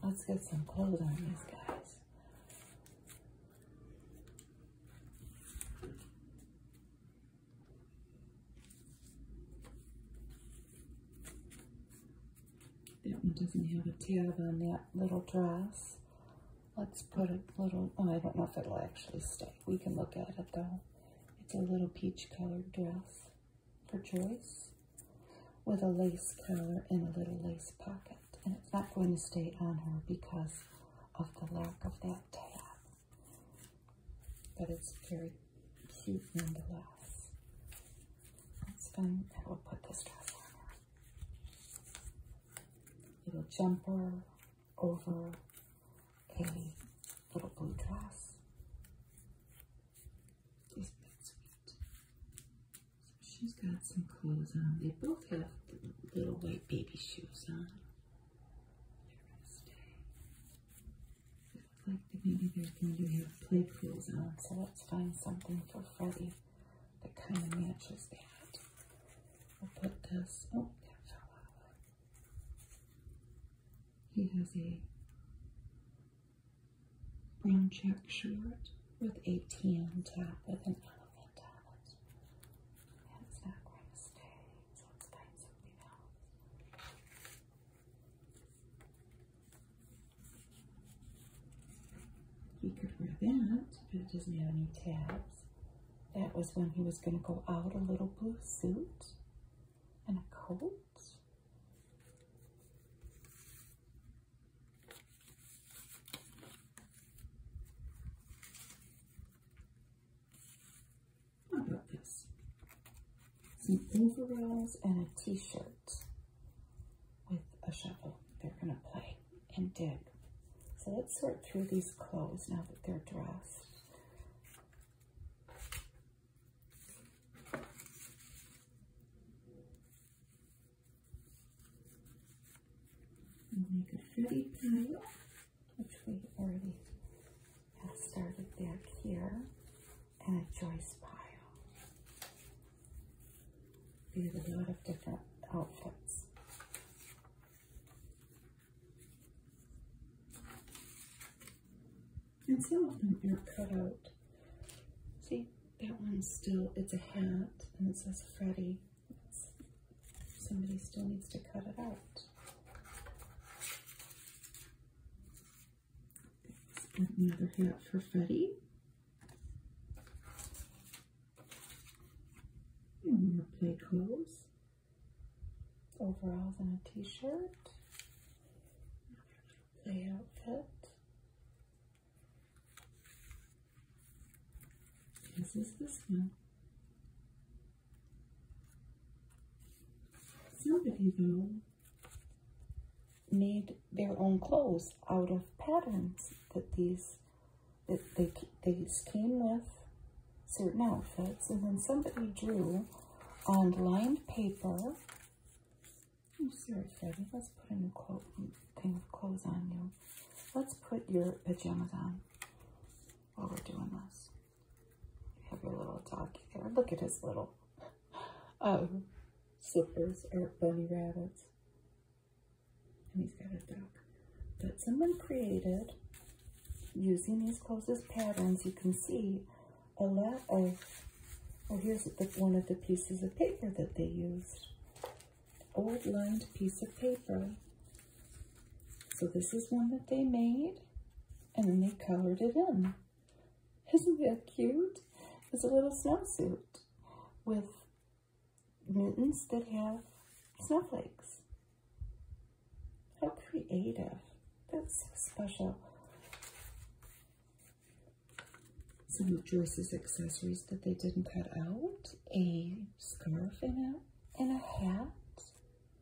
Let's get some clothes on these guys. That one doesn't have a tab on that little dress. Let's put a little, oh, I don't know if it'll actually stay. We can look at it though. It's a little peach colored dress for choice with a lace collar and a little lace pocket. And it's not going to stay on her because of the lack of that tab. But it's very cute nonetheless. It's fun. I will put this dress on her. Little jumper over a little blue dress. It's been sweet. She's got some clothes on. They both have little white baby shoes on. They're going to stay. Looks like they're going to have play clothes on. So let's find something for Freddie that kind of matches that. We'll put this. Oh, that fell out. He has a Brown check shirt with a tan top with an elephant on He could wear that, but it any tabs. That was when he was going to go out a little blue suit and a coat about this? Some overalls and a t-shirt with a shovel. They're going to play and dig. So let's sort through these clothes now that they're dressed we make a fruity pile, which we already have started back here, and a choice pile. We have a lot of different outfits. And some of them are cut out. See, that one's still, it's a hat and it says Freddy. somebody still needs to cut it out. another hat for Freddy. play clothes. Overalls and a t-shirt. Play outfit. This is this one. Somebody, though, made their own clothes out of patterns that these that they, these came with certain outfits and then somebody drew on lined paper I'm sorry let's put a new clo thing of clothes on you let's put your pajamas on while we're doing this. You have your little doggy there. Look at his little um, slippers or bunny rabbits. And he's got a dog that someone created using these closest patterns. You can see a lot of, well, oh, here's one of the pieces of paper that they used old lined piece of paper. So this is one that they made and then they colored it in. Isn't that cute? It's a little snowsuit with mittens that have snowflakes. How creative. That's so special some of Joyce's accessories that they didn't cut out, a scarf and a, and a hat,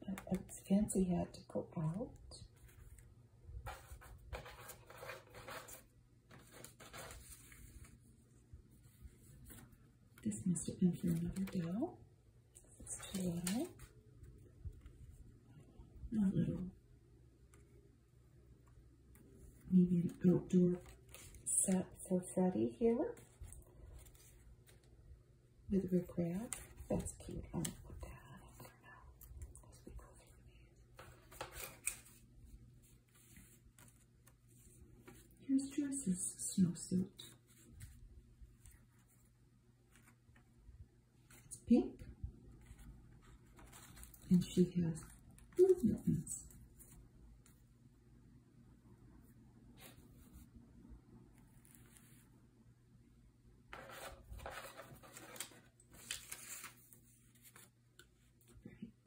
a, fancy hat to go out. This must have been for another doll. It's too little. A little Maybe an outdoor set for Freddie here with Rick Rack. That's cute. I'm gonna put that on it now Here's Joyce's snowsuit. It's pink. And she has blue mittens.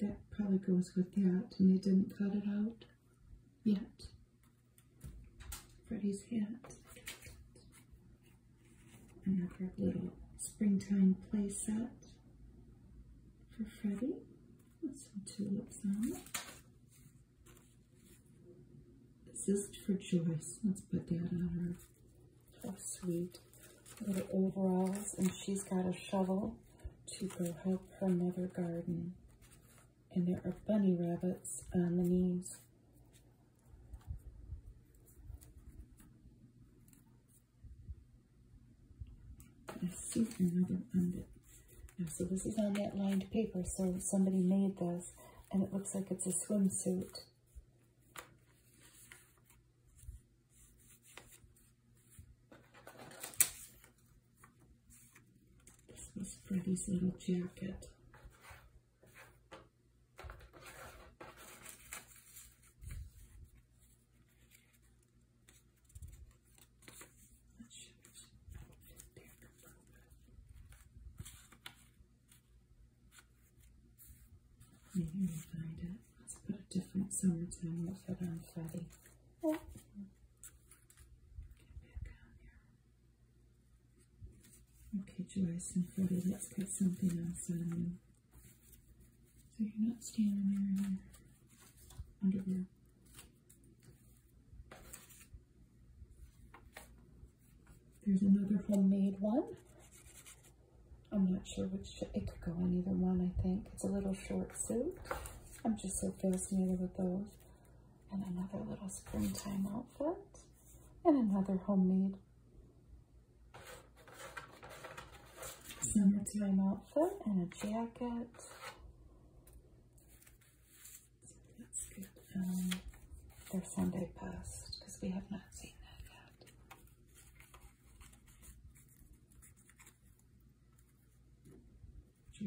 That probably goes with that, and they didn't cut it out yet. Freddie's hat. Another little springtime play set for Freddie. Put some tulips on. out. Zest for Joyce. Let's put that on her. Oh, sweet. Little overalls, and she's got a shovel to go help her mother garden. And there are bunny rabbits on the knees let see another unbit. so this is on that lined paper, so somebody made this, and it looks like it's a swimsuit. This was Freddie's little jacket. Let's put a different summertime outfit on Freddy. Oh. Okay, Joyce and Freddy, let's get something else on you. So you're not standing there in your underwear. There's another homemade one. I'm not sure which, it could go on either one, I think. It's a little short suit. I'm just so fascinated with those. And another little springtime outfit. And another homemade summertime outfit and a jacket let their Sunday post because we have not seen that yet.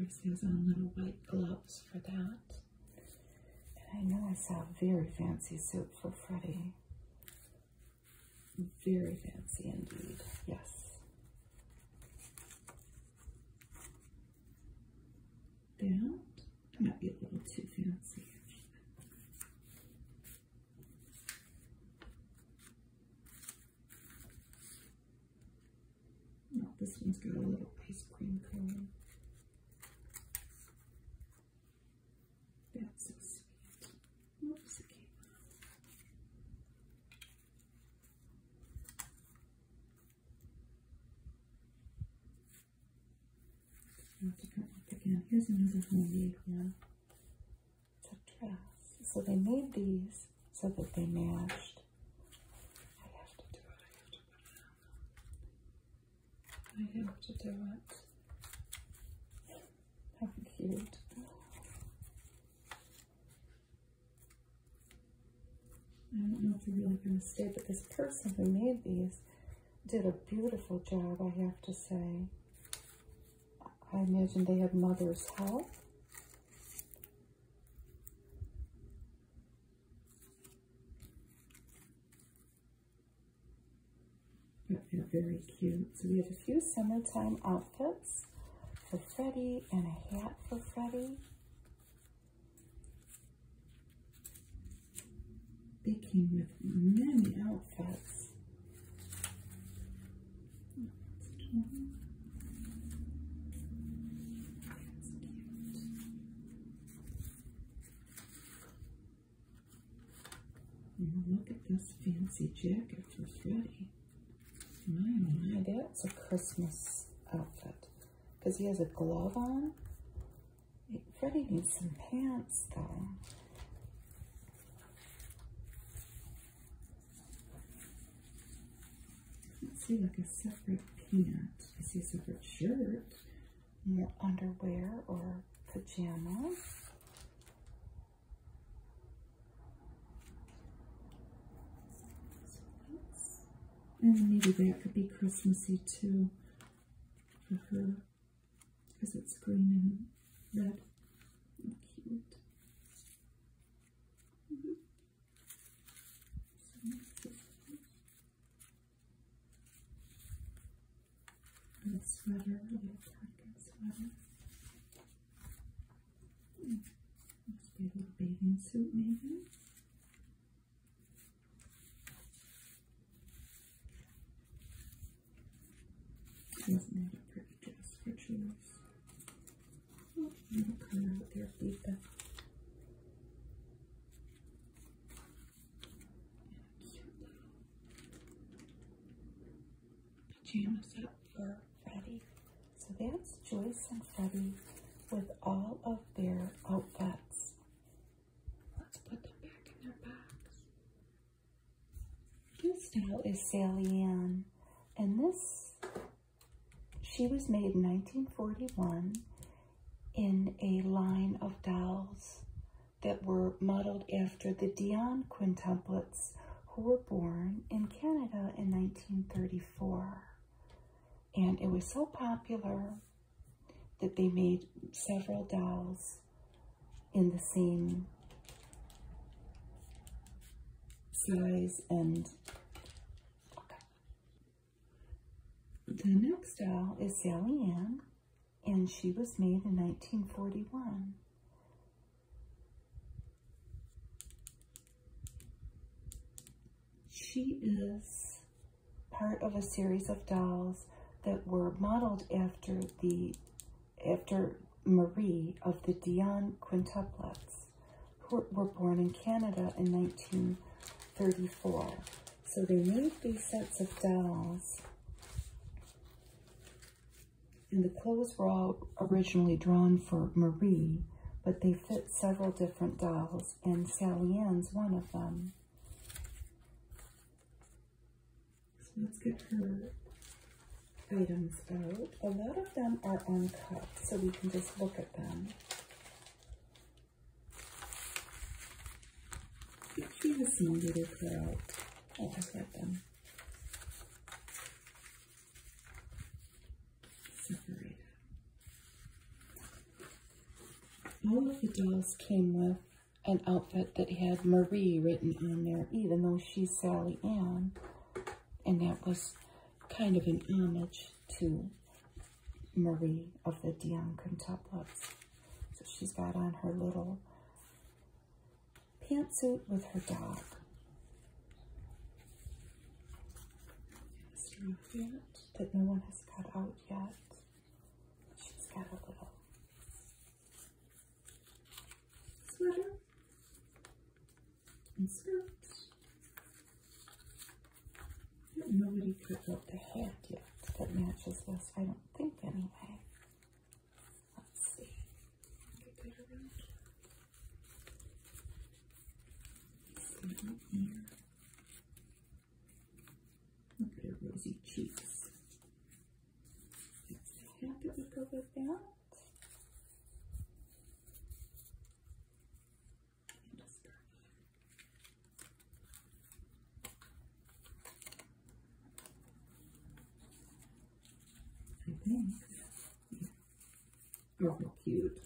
Joyce has on little white gloves for that. And I know I saw a very fancy suit for Freddie. Very fancy indeed, yes. That might be a little too fancy. this one's got a little ice cream color. That's so sweet here's another one. It's So they made these so that they matched. I have to do it. I have to put it I have to do it. I don't know if you're really going to stay, but this person who made these did a beautiful job, I have to say. I imagine they had mother's help. But they're very cute. So we have a few summertime outfits for Freddie and a hat for Freddie. They came with many outfits. look at this fancy jacket for Freddie. My, mm, my, that's a Christmas outfit. Because he has a glove on. Freddie needs some pants, though. see like a separate pant. I see a separate shirt. More underwear or pajamas. And mm-hmm. maybe that could be Christmassy too for her because it's green and red. Cute. Mm -hmm. so and a sweater, a little tiger Let's do a bathing suit maybe. Isn't that a pretty dress for jewels? Oh, little out there, leave pajamas up for Freddie. So that's Joyce and Freddie with all of their outfits. Let's put them back in their box. This doll is Sally Ann. And this, she was made in 1941 in a line of dolls that were modeled after the Dion quintuplets, who were born in Canada in 1934. And it was so popular that they made several dolls in the same size and The next doll is Sally Ann, and she was made in 1941. She is part of a series of dolls that were modeled after the after Marie of the Dion quintuplets, who were born in Canada in 1934. So they made these sets of dolls, and the clothes were all originally drawn for Marie, but they fit several different dolls, and Sally Ann's one of them. let's get her items out. A lot of them are uncut, so we can just look at them. She has some that are cut out. I'll just them. All of the dolls came with an outfit that had Marie written on there, even though she's Sally Ann. And that was kind of an homage to Marie of the Dion Quintuplets. So she's got on her little pantsuit with her dog strand here that no one has cut out yet. She's got a little sweater and skirt. Nobody don't the hat yet that matches this. I don't think anyway. Let's see. Look at her rosy cheeks. Happy we go with that. I think. Oh, how cute.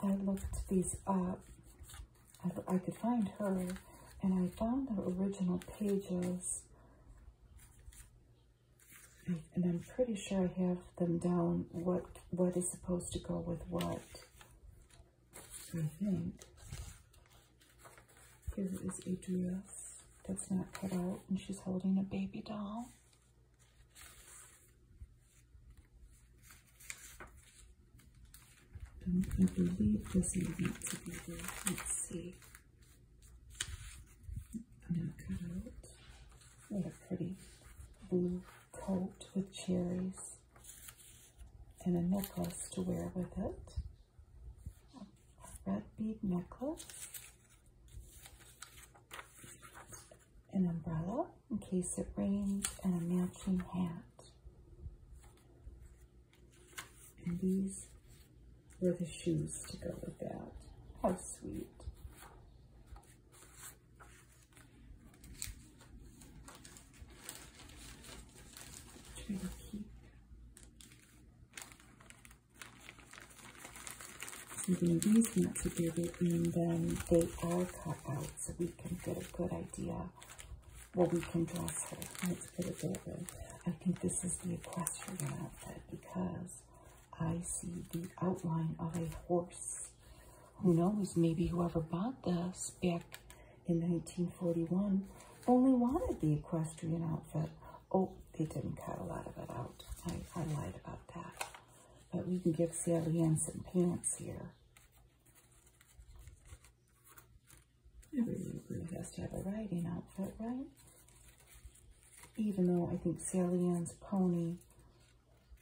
I looked these up. I, could find her, and I found the original pages. And I'm pretty sure I have them down, what, what is supposed to go with what. I think. Here is a dress that's not cut out, and she's holding a baby doll. And I believe this is not together. Let's see. I'm going to cut out. What a pretty blue coat with cherries and a necklace to wear with it. A red bead necklace an umbrella in case it rains, and a matching hat. And these were the shoes to go with that. How sweet. Try to even these nuts are bigger and then they are cut out so we can get a good idea what we can dress her. Let's put it that I think this is the equestrian outfit because I see the outline of a horse. Who knows, maybe whoever bought this back in 1941 only wanted the equestrian outfit Oh, they didn't cut a lot of it out. I, lied about that. But we can give Sally Ann some pants here. Every little girl has to have a riding outfit, right? Even though I think Sally Ann's pony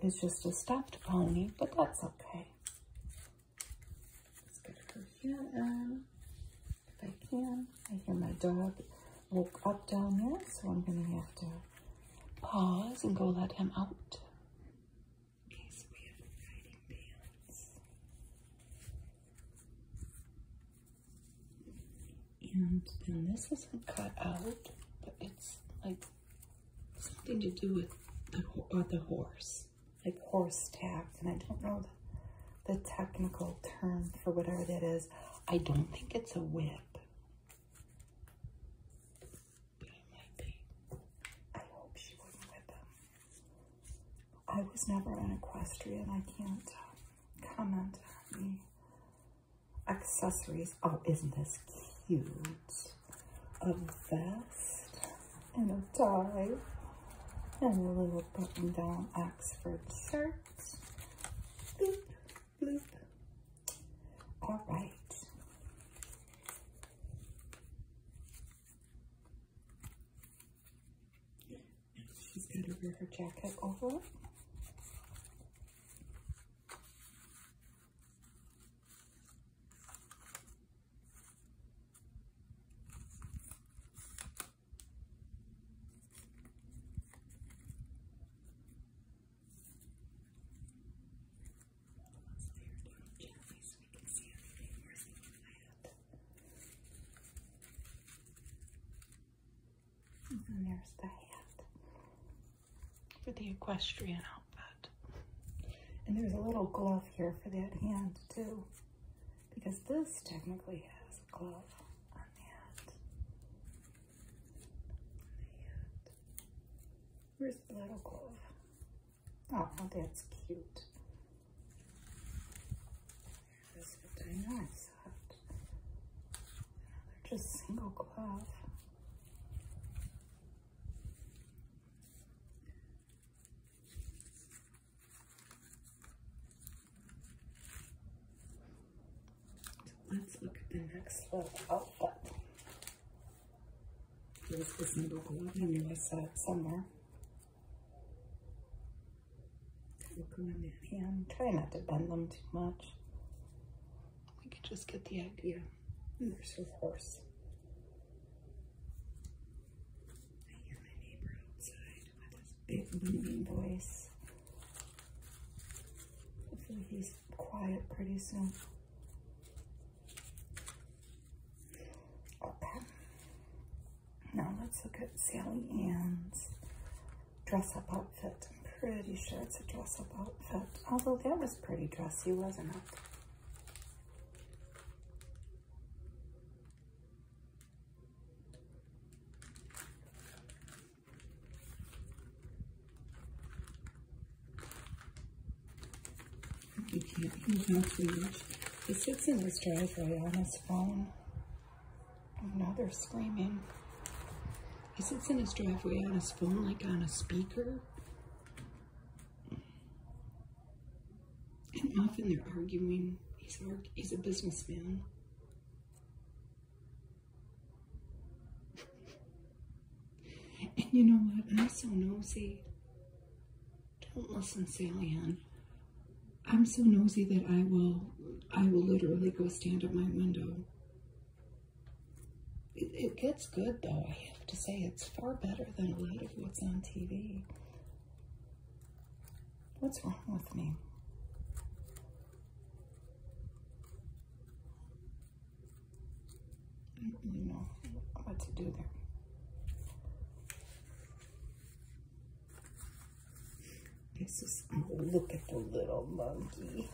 is just a stuffed pony, but that's okay. Let's get her hat on if I can. I hear my dog woke up down there, so I'm going to have to pause and go let him out. And then this was not cut out, but it's like something to do with the, uh, horse, like horse tack. And I don't know the technical term for whatever that is. I don't think it's a whip. But it might be. I hope she wouldn't with them. I was never an equestrian. I can't comment on the accessories. Oh, isn't this cute? A vest and a tie and a little button down Oxford shirt. All right. She's going to wear her jacket over there's the hat for the equestrian outfit. And there's a little glove here for that hand too, because this technically has a glove on the hand. Where's the little glove? Oh, that's cute. They're just single glove let's look at the next little outfit. This is number 11 I saw it somewhere. Look around the hand. Try not to bend them too much. We can just get the idea. And there's her horse. I hear my neighbor outside with his big booming voice. Hopefully he's quiet pretty soon. Okay. Now let's look at Sally Ann's dress-up outfit. I'm pretty sure it's a dress-up outfit. Although that was pretty dressy, wasn't it? You not he's not He sits in his driveway on his phone. Oh, now they're screaming. He sits in his driveway on his phone like on a speaker. And often they're arguing. He's, arg he's a businessman. And you know what? I'm so nosy. Don't listen, Salian. I'm so nosy that I will I will literally go stand at my window. it gets good though, I have to say. It's far better than a lot of what's on TV. What's wrong with me? I do you know what to do there. This is, oh, look at the little monkey.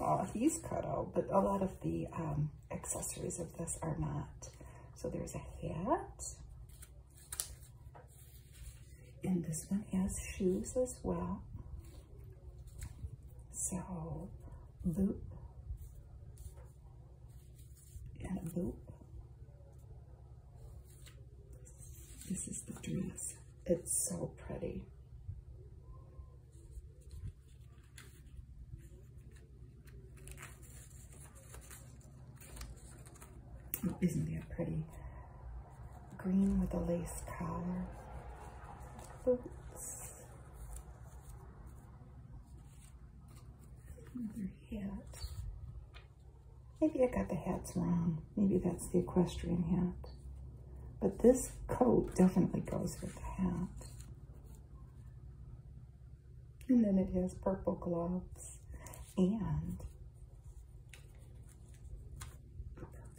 Oh, he's cut out, but a lot of the um, accessories of this are not. So there's a hat. And this one has shoes as well. So loop and loop. This is the dress. It's so pretty. isn't that pretty? green with a lace collar. Boots. Another hat. Maybe I got the hats wrong. Maybe that's the equestrian hat. But this coat definitely goes with the hat. And then it has purple gloves and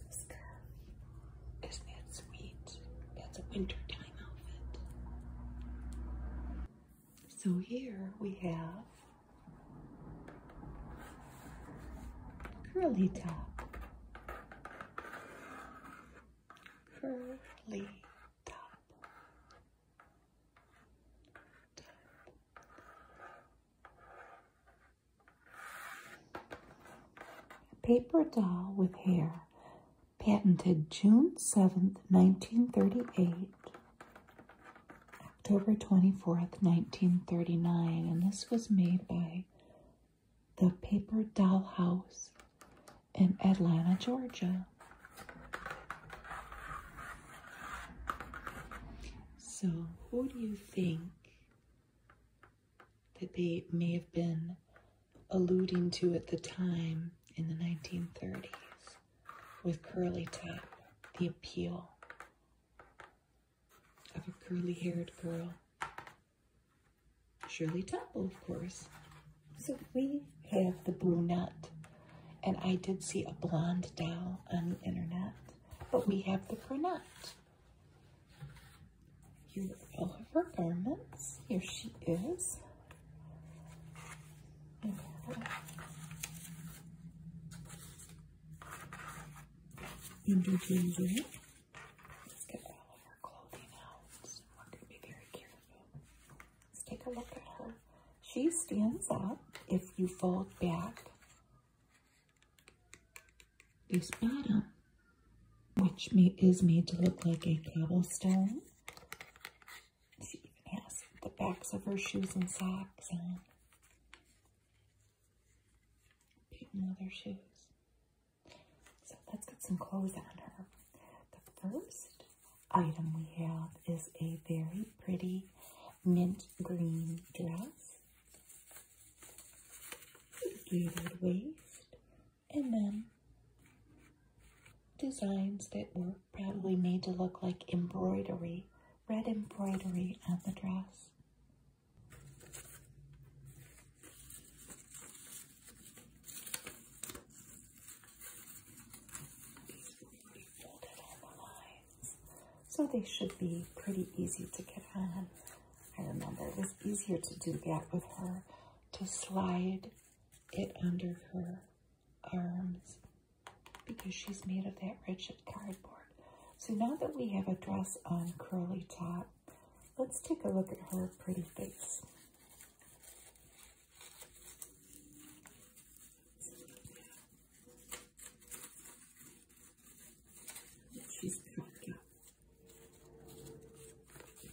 is that sweet? That's a wintertime outfit. So here we have curly top. Curly top. Paper doll with hair, patented June 7th, 1938, October 24th, 1939. And this was made by the Paper Doll House in Atlanta, Georgia. So, who do you think that they may have been alluding to at the time in the 1930s with curly top, the appeal of a curly haired girl. Shirley Temple, of course. So we have the brunette, and I did see a blonde doll on the internet, but we have the brunette. You all of her garments. Here she is. And under ginger. Let's get all of her clothing out. We're going to be very careful. Let's take a look at her. She stands up. If you fold back, this bottom, which is made to look like a cobblestone. She even has the backs of her shoes and socks on. Patent leather shoes. So let's get some clothes on her. The first item we have is a very pretty mint green dress gated waist, and then designs that were probably made to look like embroidery, red embroidery on the dress. So they should be pretty easy to get on. I remember it was easier to do that with her, to slide it under her arms because she's made of that rigid cardboard. So now that we have a dress on curly top, let's take a look at her pretty face. She's cooked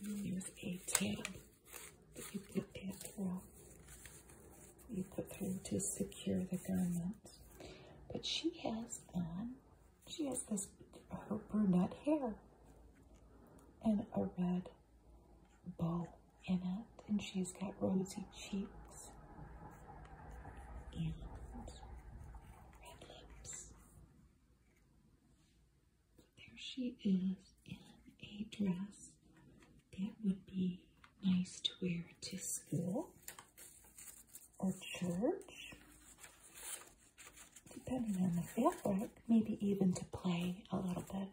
Use a tab that you put at you put through to secure the garment. But she has on, she has this her brunette hair and a red bow in it, and she's got rosy cheeks and red lips. There she is in a dress that would be nice to wear to school or church, depending on the fabric, maybe even to play a little bit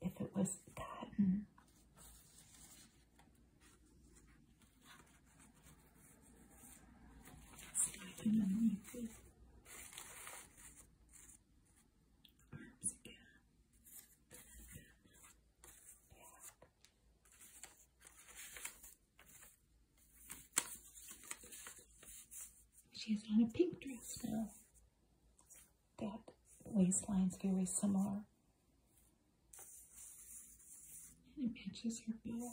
if it was cotton. She his on a pink dress now. That waistline is very similar. And it matches her bill.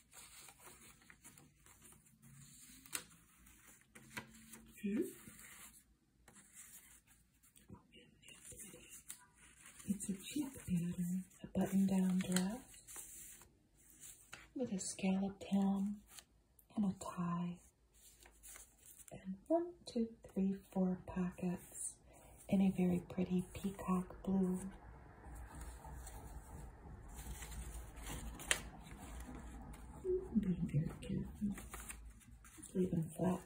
Hmm? It's a check pattern, a button-down dress with a scalloped hem and a tie. And one, two, three, four pockets in a very pretty peacock blue. I'm being very careful. Just leave them flat.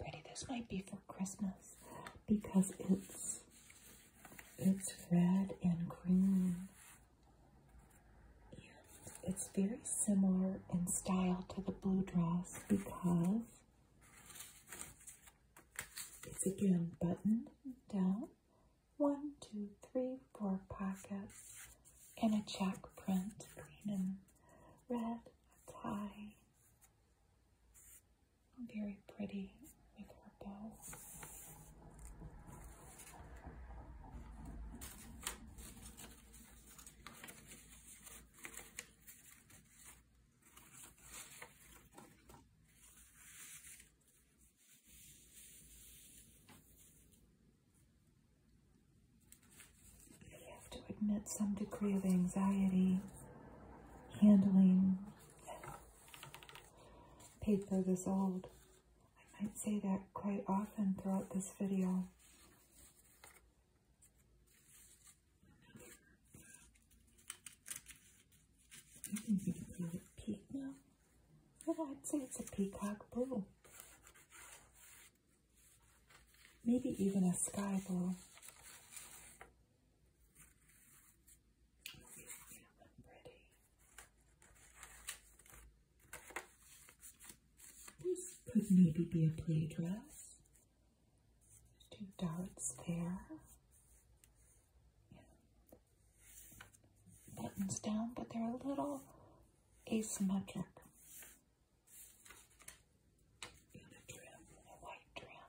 Pretty. This might be for Christmas because it's it's red and green it's very similar in style to the blue dress because it's again buttoned down. One, two, three, four pockets, and a check print, green and red, tie. Very pretty make have to admit some degree of anxiety handling paper this old. I might say that quite often throughout this video. I think you can feel it peak now. I'd say it's a peacock blue. Maybe even a sky blue. This could maybe be a play dress. two darts there. buttons down, but they're a little asymmetric. In a trim, a white trim.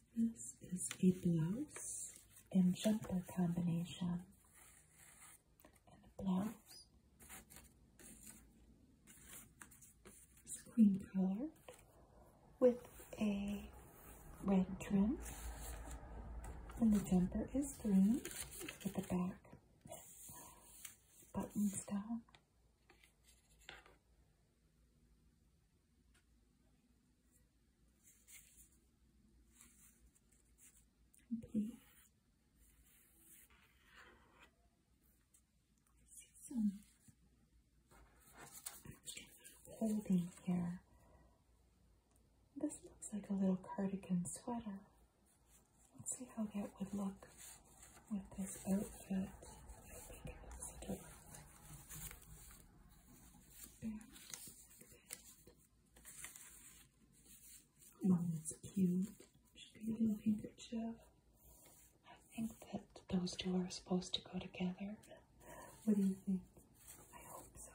This is a blouse and jumper combination. And a blouse is green colored with a red trim. And the jumper is green with the back buttons down. Okay. here. This looks like a little cardigan sweater. Let's see how that would look with this outfit. Well, that's cute. Should a little handkerchief. I think that those two are supposed to go together. What do you think? I hope so.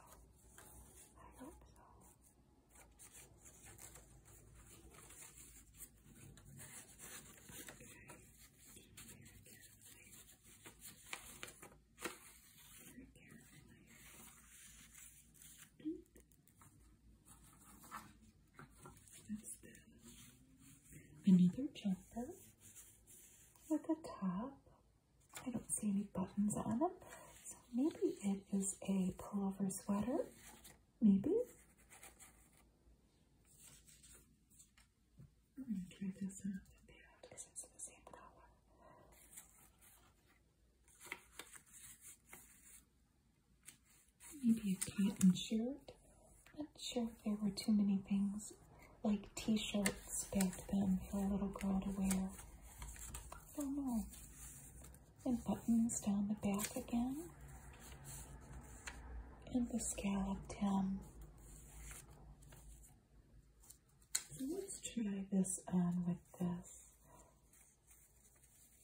I hope so another jumper with a top. I don't see any buttons on them. So maybe it is a pullover sweater. Maybe. I'm going to try this out. Yeah, because it's the same color. Maybe a cotton shirt. Not sure if there were too many things like t-shirts back then for a little girl to wear. I don't know. And buttons down the back again. And the scalloped hem. So let's try this on with this.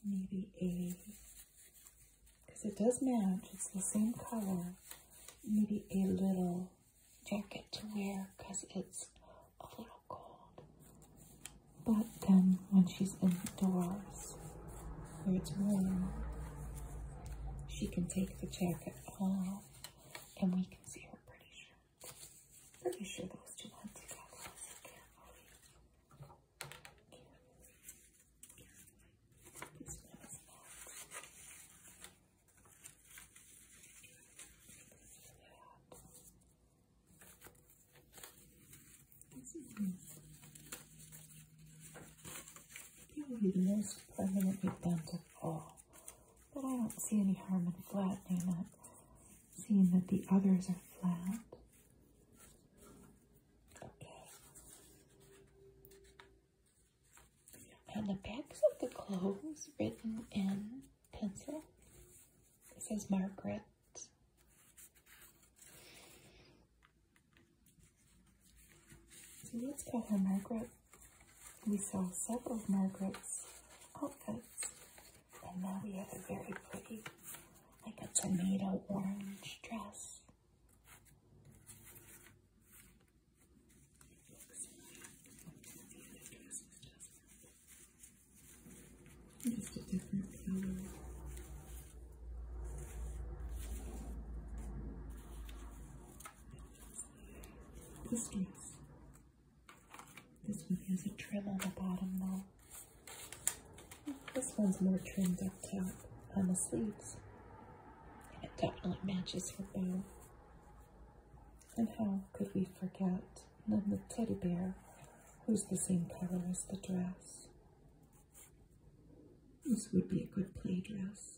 Maybe a, because it does match, it's the same color. Maybe a little jacket to wear because it's a little cold. But then when she's indoors, where it's warm, she can take the jacket off and we can see her pretty sure. Pretty sure those two went together. So carefully. Carefully. Carefully. This one is Max. This is the most permanently bent of all. But I don't see any harm in flattening it, seeing that the others are flat. Okay. On the backs of the clothes, written in pencil, says Margaret. So let's call her Margaret. We saw several of Margaret's outfits, and now we have a very pretty, like a tomato orange dress. Just a different color biscuits. This one has a trim on the bottom though. This one's more trimmed up top on the sleeves. And it definitely matches her bow. And how could we forget the teddy bear who's the same color as the dress? This would be a good play dress.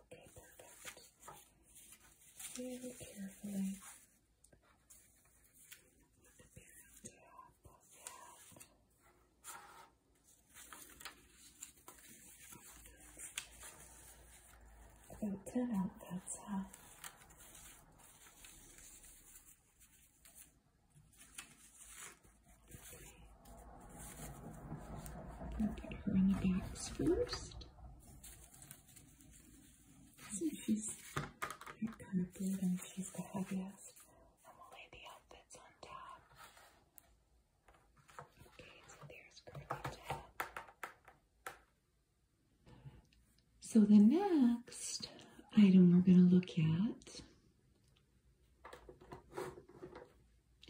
Okay, perfect. Very carefully. Put the beer on top of that. About 10 out that's half. Put her in the box first. So she's very cardboard and she's the heaviest. So the next item we're going to look at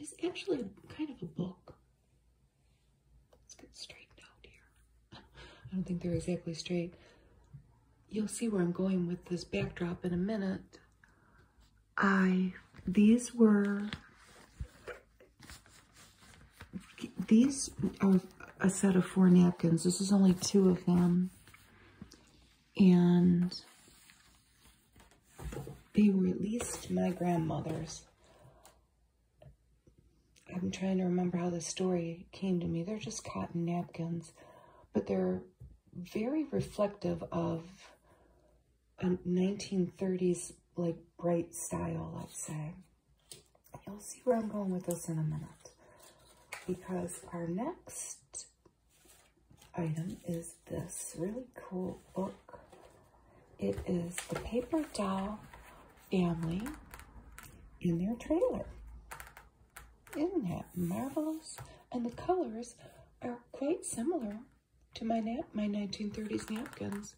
is actually kind of a book. It's been straightened out here. I don't think they're exactly straight. You'll see where I'm going with this backdrop in a minute. I, these were, these a set of four napkins. This is only two of them. And they were at least my grandmother's. I'm trying to remember how the story came to me. They're just cotton napkins, but they're very reflective of a 1930s, like bright style, I'd say. You'll see where I'm going with this in a minute because our next item is this really cool book it is the Paper Doll family in their trailer. Isn't that marvelous? And the colors are quite similar to my nap my 1930s napkins.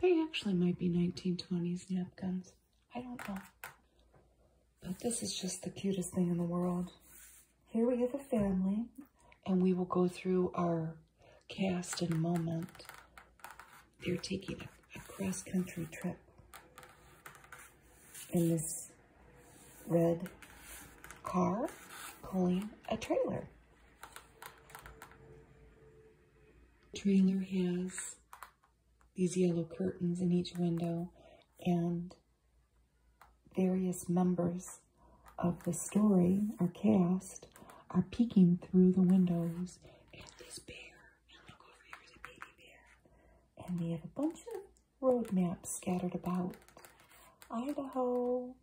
They actually might be 1920s napkins. I don't know. But this is just the cutest thing in the world. Here we have a family, and we will go through our cast in a moment. They're taking a, cross-country trip in this red car pulling a trailer. trailer has these yellow curtains in each window and various members of the story are cast are peeking through the windows and this bear. And look over here is a baby bear. And we have a bunch of road maps scattered about. Idaho,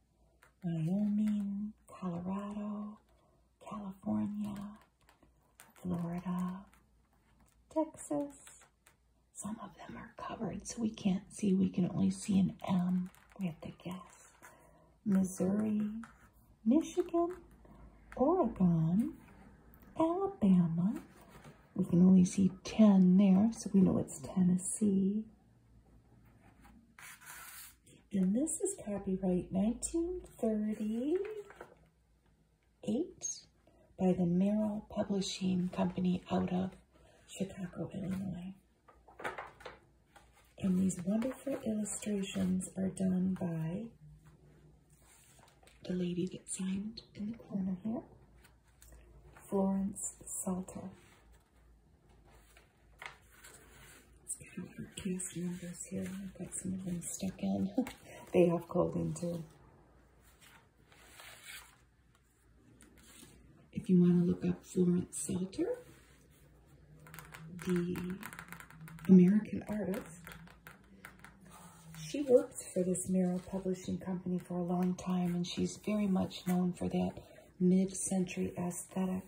Wyoming, Colorado, California, Florida, Texas. Some of them are covered, so we can't see. We can only see an M. We have to guess. Missouri, Michigan, Oregon, Alabama. We can only see 10 there, so we know it's Tennessee. And this is copyright 1938 by the Merrill Publishing Company out of Chicago, Illinois. And these wonderful illustrations are done by the lady that signed in the corner here, Florence Salter. It's kind cast members here. I've got some of them stuck in. they have clothing too. If you want to look up Florence Salter, the American artist. She works for this Merrill Publishing Company for a long time, and she's very much known for that mid-century aesthetic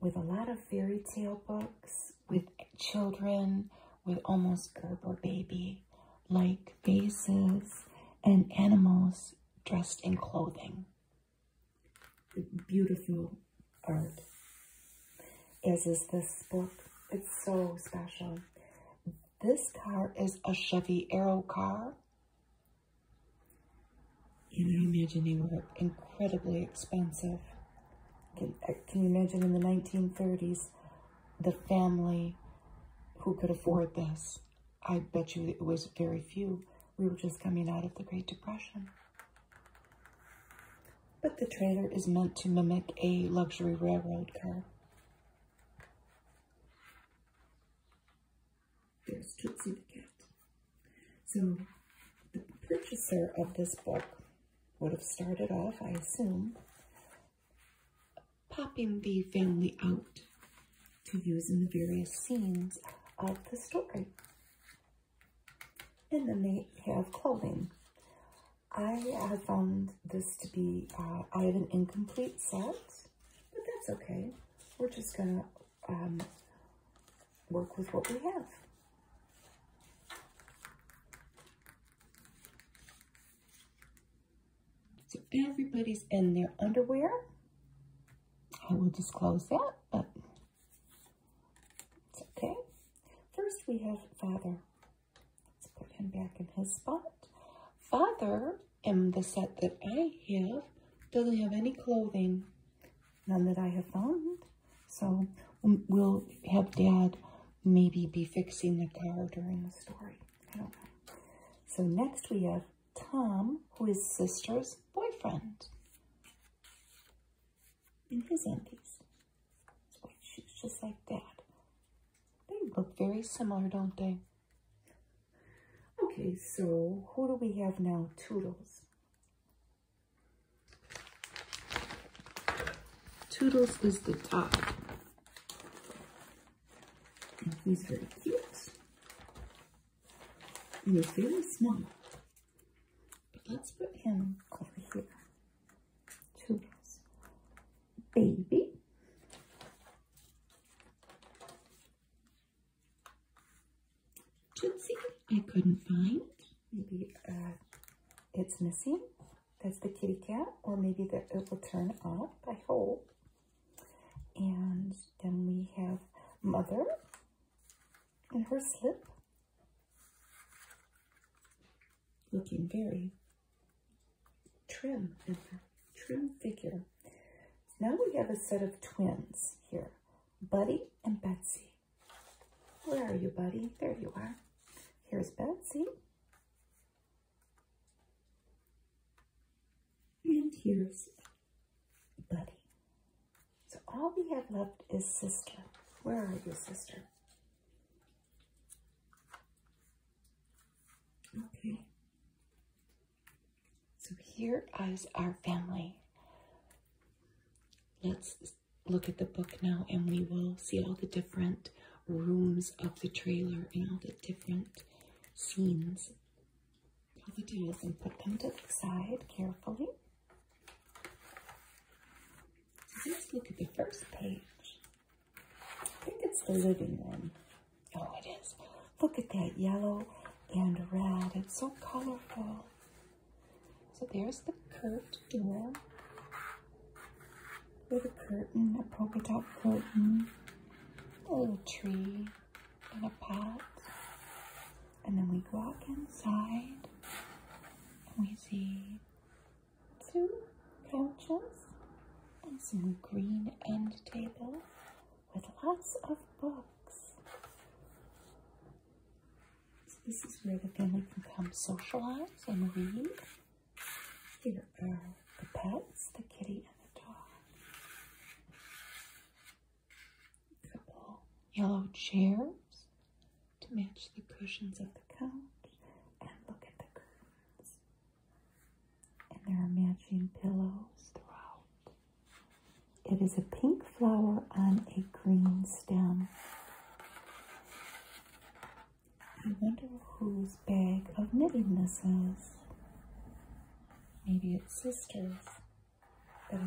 with a lot of fairy tale books, with children, with almost Gerber baby-like faces, and animals dressed in clothing beautiful art, as is this book. It's so special. This car is a Chevy Arrow car. Can you imagine they were incredibly expensive? Can, uh, can you imagine in the 1930s, the family who could afford this? I bet you it was very few. We were just coming out of the Great Depression. But the trailer is meant to mimic a luxury railroad car. There's Tootsie the Cat. So the purchaser of this book would have started off, I assume, popping the family out to use in the various scenes of the story. And then they have clothing. I have found this to be, I uh, have an incomplete set, but that's okay. We're just going to um, work with what we have. So everybody's in their underwear. I will disclose that, it's okay. First, we have Father. Let's put him back in his spot. Father, in the set that I have, doesn't have any clothing. None that I have found. So um, we'll have Dad maybe be fixing the car during the story. So next we have Tom, who is sister's boyfriend in his anties, oh, Squid just like that. They look very similar, don't they? Okay, so who do we have now? Toodles. Toodles is the top. he's very cute. And he's very small. Let's put him over here. Two Baby. Tootsie, I couldn't find. Maybe uh, it's missing. That's the kitty cat, or maybe that it will turn up, I hope. And then we have Mother, and her slip. Looking very trim and trim figure. Now we have a set of twins here, Buddy and Betsy. Where are you, Buddy? There you are. Here's Betsy. And here's Buddy. So all we have left is sister. Where are you, sister? Okay. So here is our family. Let's look at the book now and we will see all the different rooms of the trailer and all the different scenes. All the and put them to the side carefully. Let's look at the first page. I think it's the living room. Oh, it is. Look at that yellow and red. It's so colorful. So there's the curved door with a curtain, a polka dot curtain, a little tree, and a pot. And then we walk inside and we see two couches and some green end table with lots of books. So this is where the family can come socialize and read. Here are the pets, the kitty and the dog couple yellow chairs to match the cushions of the couch. And look at the curtains. And there are matching pillows throughout. It is a pink flower on a green stem. I wonder whose bag of knitting this is. Maybe it's sister's. The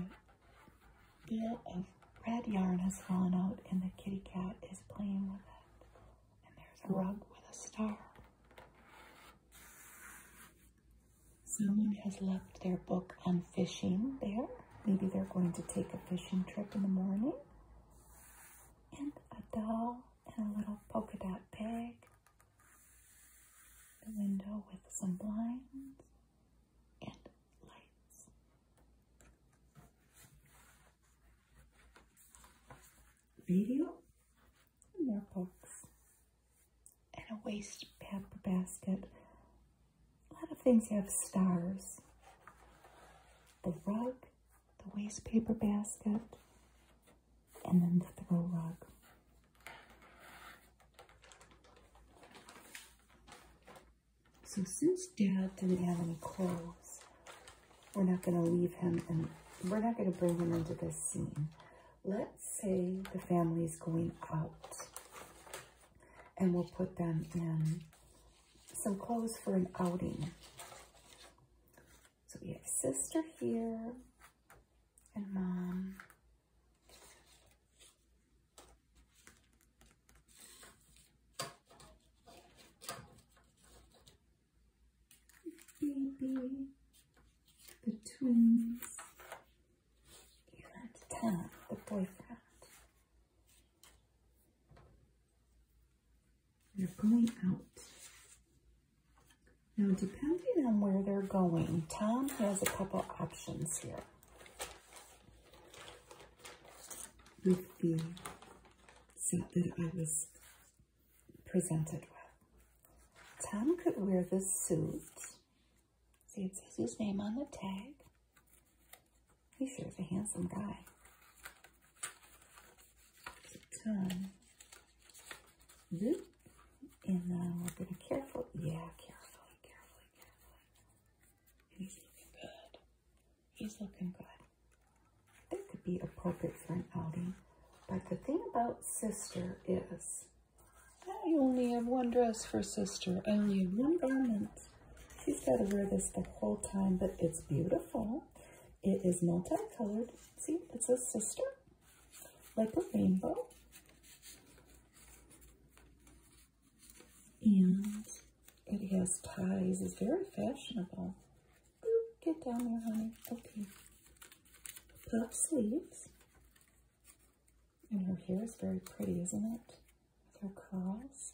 deal of red yarn has fallen out, and the kitty cat is playing with it. And there's a rug with a star. Someone has left their book on fishing there. Maybe they're going to take a fishing trip in the morning. And a doll and a little polka dot pig. The window with some blinds and lights. Video more books and a waste paper basket. A lot of things have stars. The rug, the waste paper basket, and then the throw rug. So since Dad didn't have any clothes, we're not going to leave him and we're not going to bring him into this scene. Let's say the family is going out and we'll put them in some clothes for an outing. So we have sister here and mom. Baby, the twins. You had the boyfriend. They're going out. Now, depending on where they're going, Tom has a couple options here with the set that I was presented with. Tom could wear this suit. See, it says his name on the tag. He sure is a handsome guy. So Tom, and then uh, we're going to carefully, yeah, carefully, carefully, carefully. He's looking good. He's looking good. That could be appropriate for an outing. But the thing about sister is, I only have one dress for sister. I only have one garment. She's got to wear this the whole time, but it's beautiful. It is multicolored. See, it's a sister, like a rainbow. And it has ties. It's very fashionable. Get down there, honey. Okay. Puff sleeves. And her hair is very pretty, isn't it? With her curls.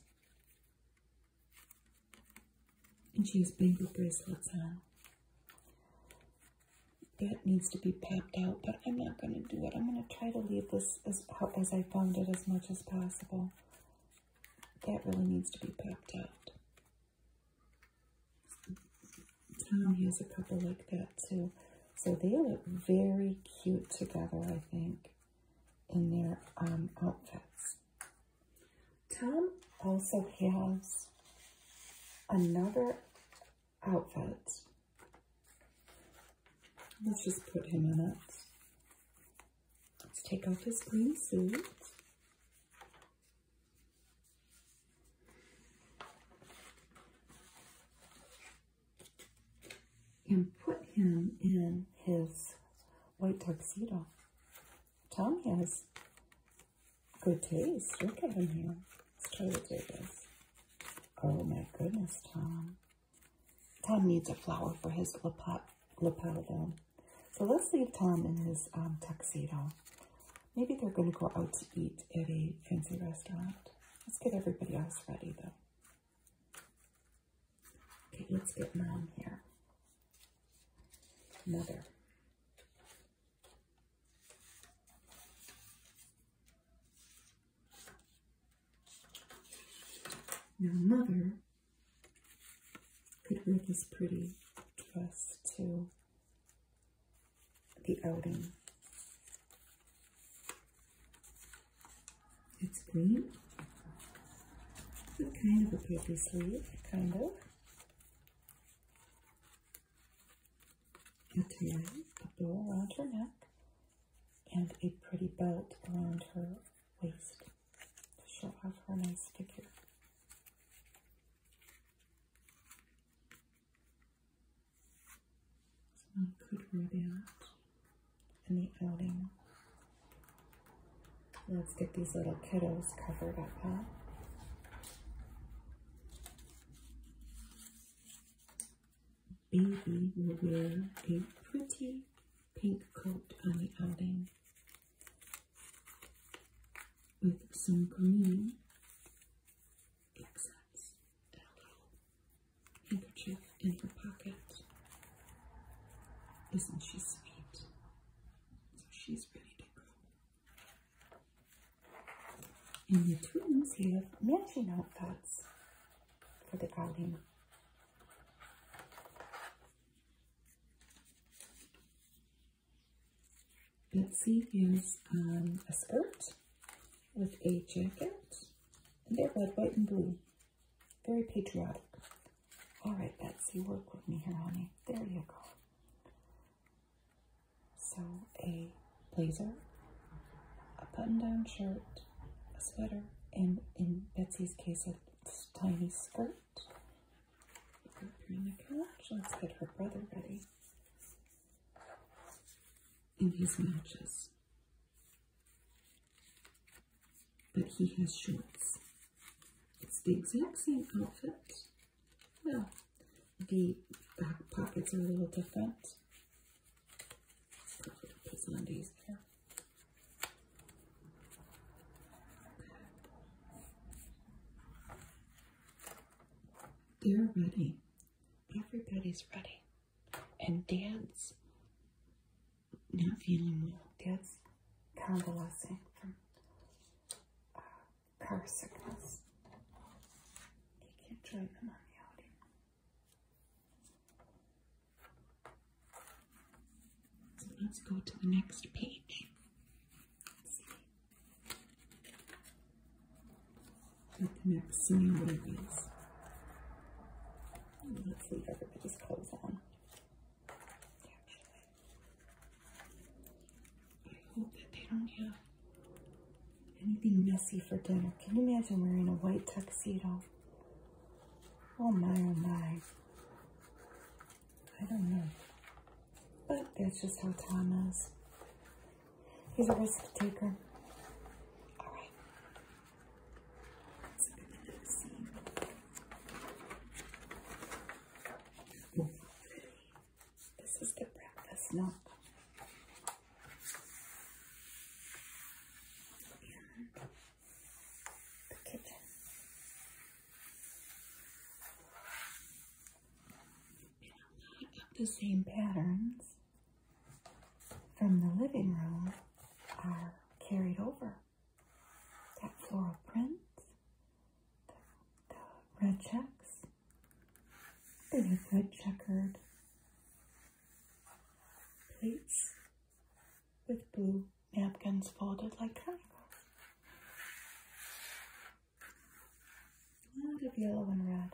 And she has bangle bracelets on. That needs to be popped out, but I'm not going to do it. I'm going to try to leave this as, as I found it as much as possible that really needs to be popped out. Tom has a couple like that too. So they look very cute together, I think, in their um, outfits. Tom also has another outfit. Let's just put him in it. Let's take off his green suit. And put him in his white tuxedo. Tom has good taste. Look at him here. Let's try to do this. Oh my goodness, Tom. Tom needs a flower for his lapododon. So let's leave Tom in his um, tuxedo. Maybe they're going to go out to eat at a fancy restaurant. Let's get everybody else ready, though. Okay, let's get mom here. Mother. Now, mother could wear this pretty dress to the outing. It's green. kind of a paper sleeve, kind of. A tie, a bow around your neck, and a pretty belt around her waist to show off her nice figure. So I could the outing. Let's get these little kiddos covered up, Baby will wear a pretty pink coat on the outing with some green accents handkerchief in her pocket. Isn't she sweet? So she's ready to go. And the twins have matching outfits for the outing. Betsy is um, a skirt with a jacket, and they're red, white, and blue. Very patriotic. All right, Betsy, work with me here, honey. There you go. So a blazer, a button-down shirt, a sweater, and in Betsy's case, a this tiny skirt. Let's get her brother ready. in his matches. But he has shorts. It's the exact same outfit. No, the back pockets are a little different. They're ready. Everybody's ready. And dance. not feeling well. Dad's convalescing from uh, car sickness. They can't join them on let's go to the next page. Let's see what the Let's leave everybody's clothes on. I hope that they don't have anything messy for dinner. Can you imagine wearing a white tuxedo? Oh my, oh my. I don't know. But that's just how Tom is. He's a risk taker. All This is the breakfast note the kitchen. A lot of the same patterns from the living room are carried over. That floral print, the, the red checks, the red checkered plates with blue napkins folded like her. A of yellow and red.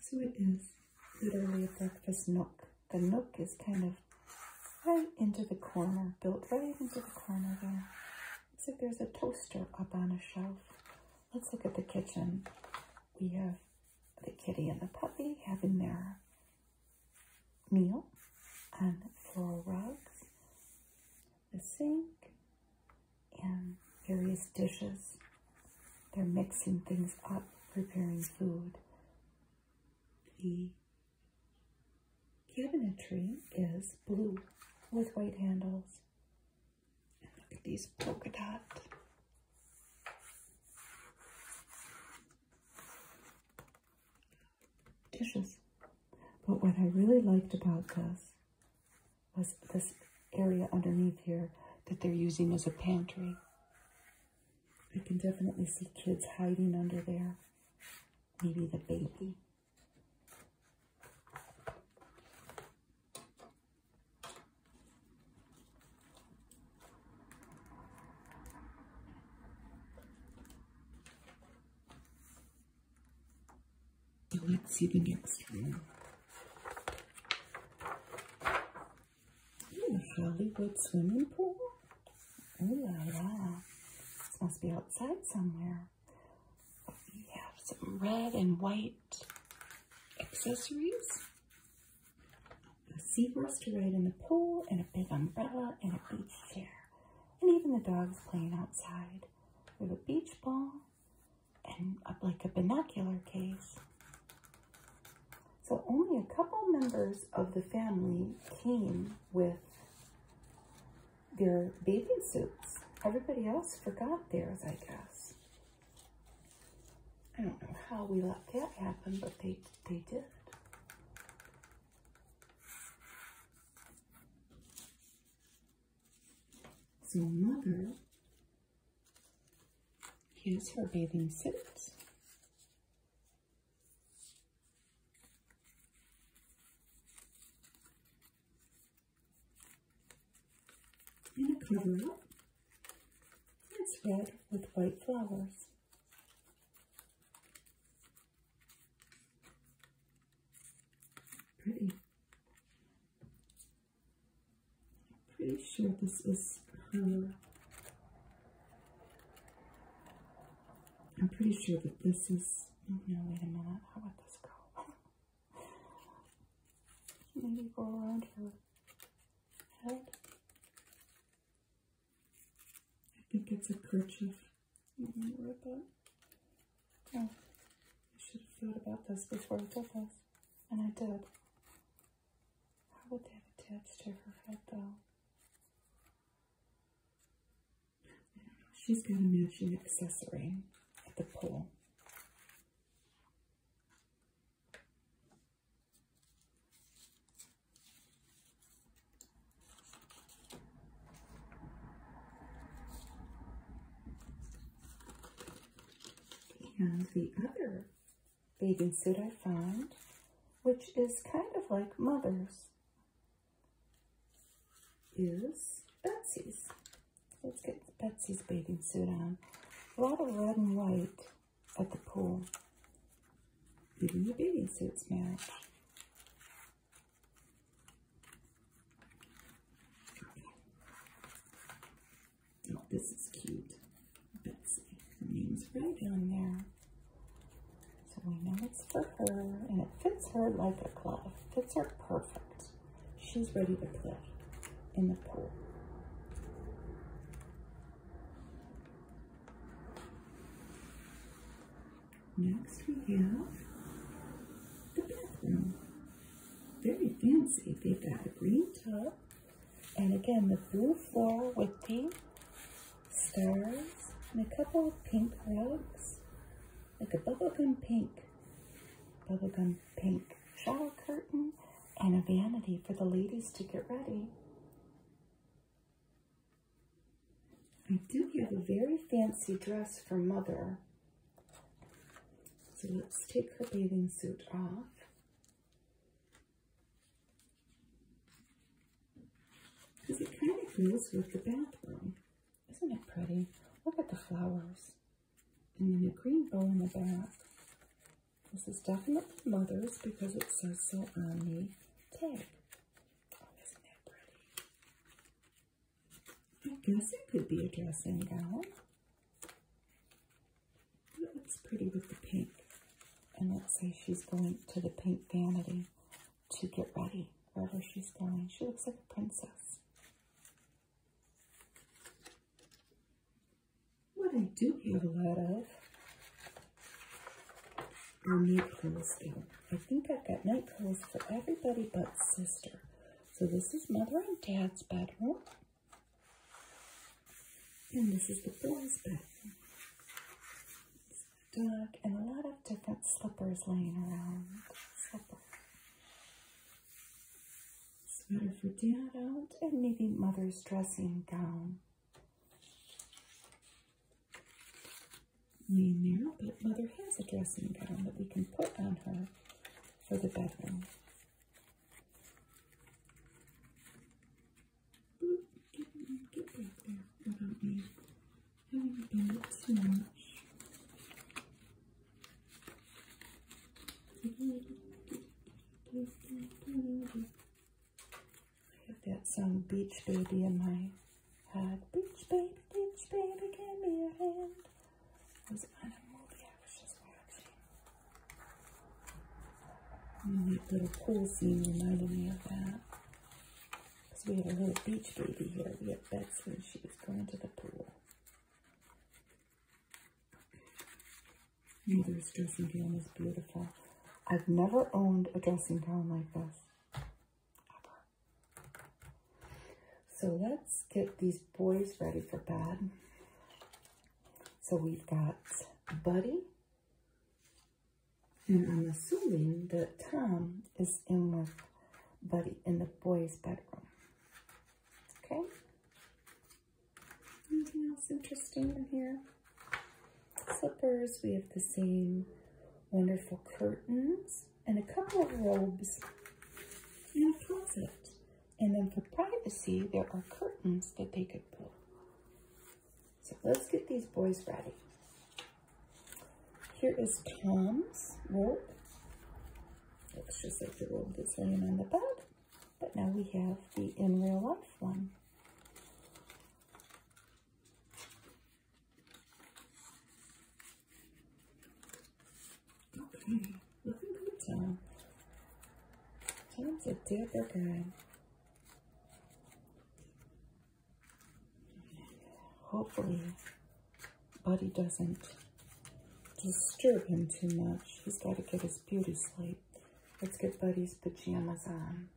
So it is literally a breakfast nook. The nook is kind of right into the corner, built right into the corner there. Looks like there's a toaster up on a shelf. Let's look at the kitchen. We have the kitty and the puppy having their meal on floral rugs, the sink, and various dishes. They're mixing things up, preparing food. The cabinetry is blue with white handles. Look at these polka dot. Dishes. But what I really liked about this was this area underneath here that they're using as a pantry. You can definitely see kids hiding under there. Maybe the baby let's see get next one. Ooh, Hollywood swimming pool. Oh yeah, la. This must be outside somewhere. We have some red and white accessories a seahorse to ride in the pool, and a big umbrella, and a beach chair. And even the dogs playing outside with a beach ball and like a binocular case. So only a couple members of the family came with their bathing suits. Everybody else forgot theirs, I guess. I don't know how we let that happen, but they they did. So mother has her bathing suit. And a cover up. It's red with white flowers. Pretty. I'm pretty sure this is her. I'm pretty sure that this is, oh no, wait a minute, how about this go? Maybe go around her head. I think it's a kerchief. I don't remember that. Oh, I should have thought about this before I took this. And I did. How would that attach to her head though? She's got a matching accessory at the pole. And the other bathing suit I found, which is kind of like Mother's, is Betsy's. Let's get Betsy's bathing suit on. A lot of red and white at the pool. Beauty and the Beauty suits marriage. Oh, this is cute. Betsy. Her name's right on there. So we know it's for her, and it fits her like a glove. Fits her perfect. She's ready to play in the pool. Next we have the bathroom. Very fancy. They've got a green tub. And again, the blue floor with pink stars and a couple of pink rugs. Like a bubblegum pink. Bubblegum pink shower curtain and a vanity for the ladies to get ready. I do have a very fancy dress for mother. So let's take her bathing suit off. Because it kind of goes with the bathroom. Isn't it pretty? Look at the flowers. And the green bow in the back. This is definitely mother's because it says so on the tag. Oh, isn't that pretty? I guess it could be a dressing gown. It looks pretty with the pink. And let's say she's going to the pink vanity to get ready wherever she's going. She looks like a princess. What I do have a lot of are night clothes in. I think I've got night clothes for everybody but sister. So this is mother and dad's bedroom. And this is the boys' bedroom. It's dark and a lot of different slippers laying around. Slipper. Sweater for dad out and maybe mother's dressing gown. We now, but Mother has a dressing gown that we can put on her for the bedroom that song Beach Baby in my head. Beach Baby, Beach Baby, give me your hand. was on a movie I was just watching. that little pool scene reminded me of that. Because we have a little beach baby here. We had Betsy and she was going to the pool. Mother's dressing gown is beautiful. I've never owned a dressing gown like this. So let's get these boys ready for bed. So we've got Buddy. And I'm assuming that Tom is in with Buddy in the boys' bedroom. Okay? Anything else interesting in here? Slippers, we have the same wonderful curtains and a couple of robes in a closet. And then for privacy, there are curtains that they could pull. So let's get these boys ready. Here is Tom's robe. Looks just like the robe that's laying on the bed. But now we have the in real life one. Okay, looking good, Tom. Tom's a dapper guy. Hopefully, Buddy doesn't disturb him too much. He's got to get his beauty sleep. Let's get Buddy's pajamas on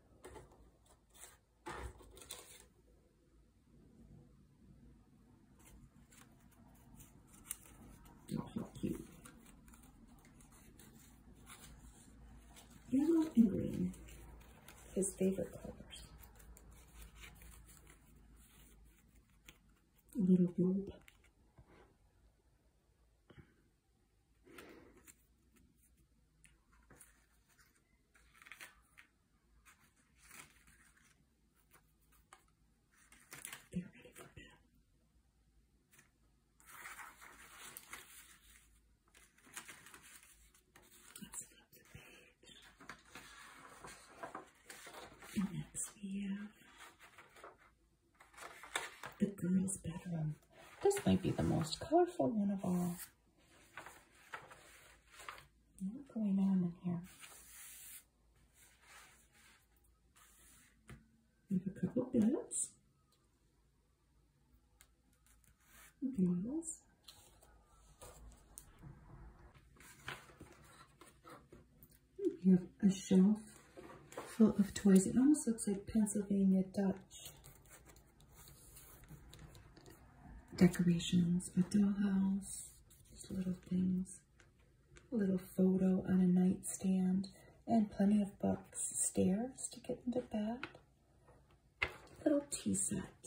not cute. Yellow and green, his favorite colors. A little globe. Get ready Let's flip the page. next we have the girls' bedroom. This might be the most colorful one of all. What's going on in here? We have a couple of beds. Bales. We have a shelf full of toys. It almost looks like Pennsylvania Dutch decorations, a dollhouse, little things, a little photo on a nightstand, and plenty of books, stairs to get into bed, little tea set.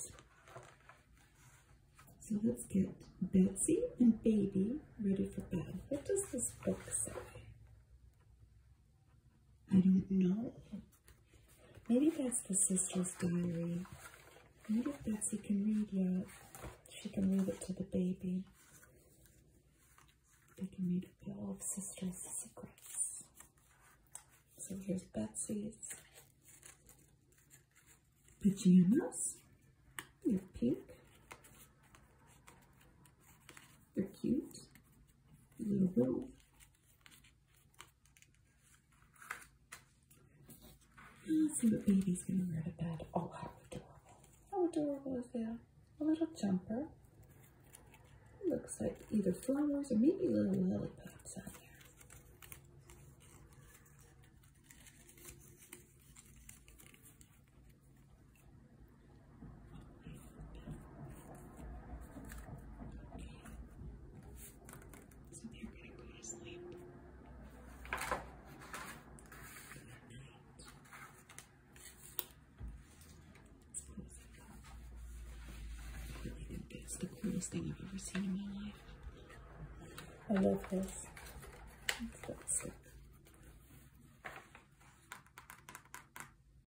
So let's get Betsy and Baby ready for bed. What does this book say? I don't know. Maybe that's the sister's diary. Maybe Betsy can read yet. She can read it to the baby. They can read a bill of sister's secrets. So here's Betsy's pajamas. They're pink. They're cute. little robe. Let's see what baby's gonna wear to bed. Oh, how adorable. How adorable is that? A little jumper. looks like either flowers or maybe little lollipops on there. So they're going to go to sleep. It's the coolest thing I've ever seen in my life. I love this.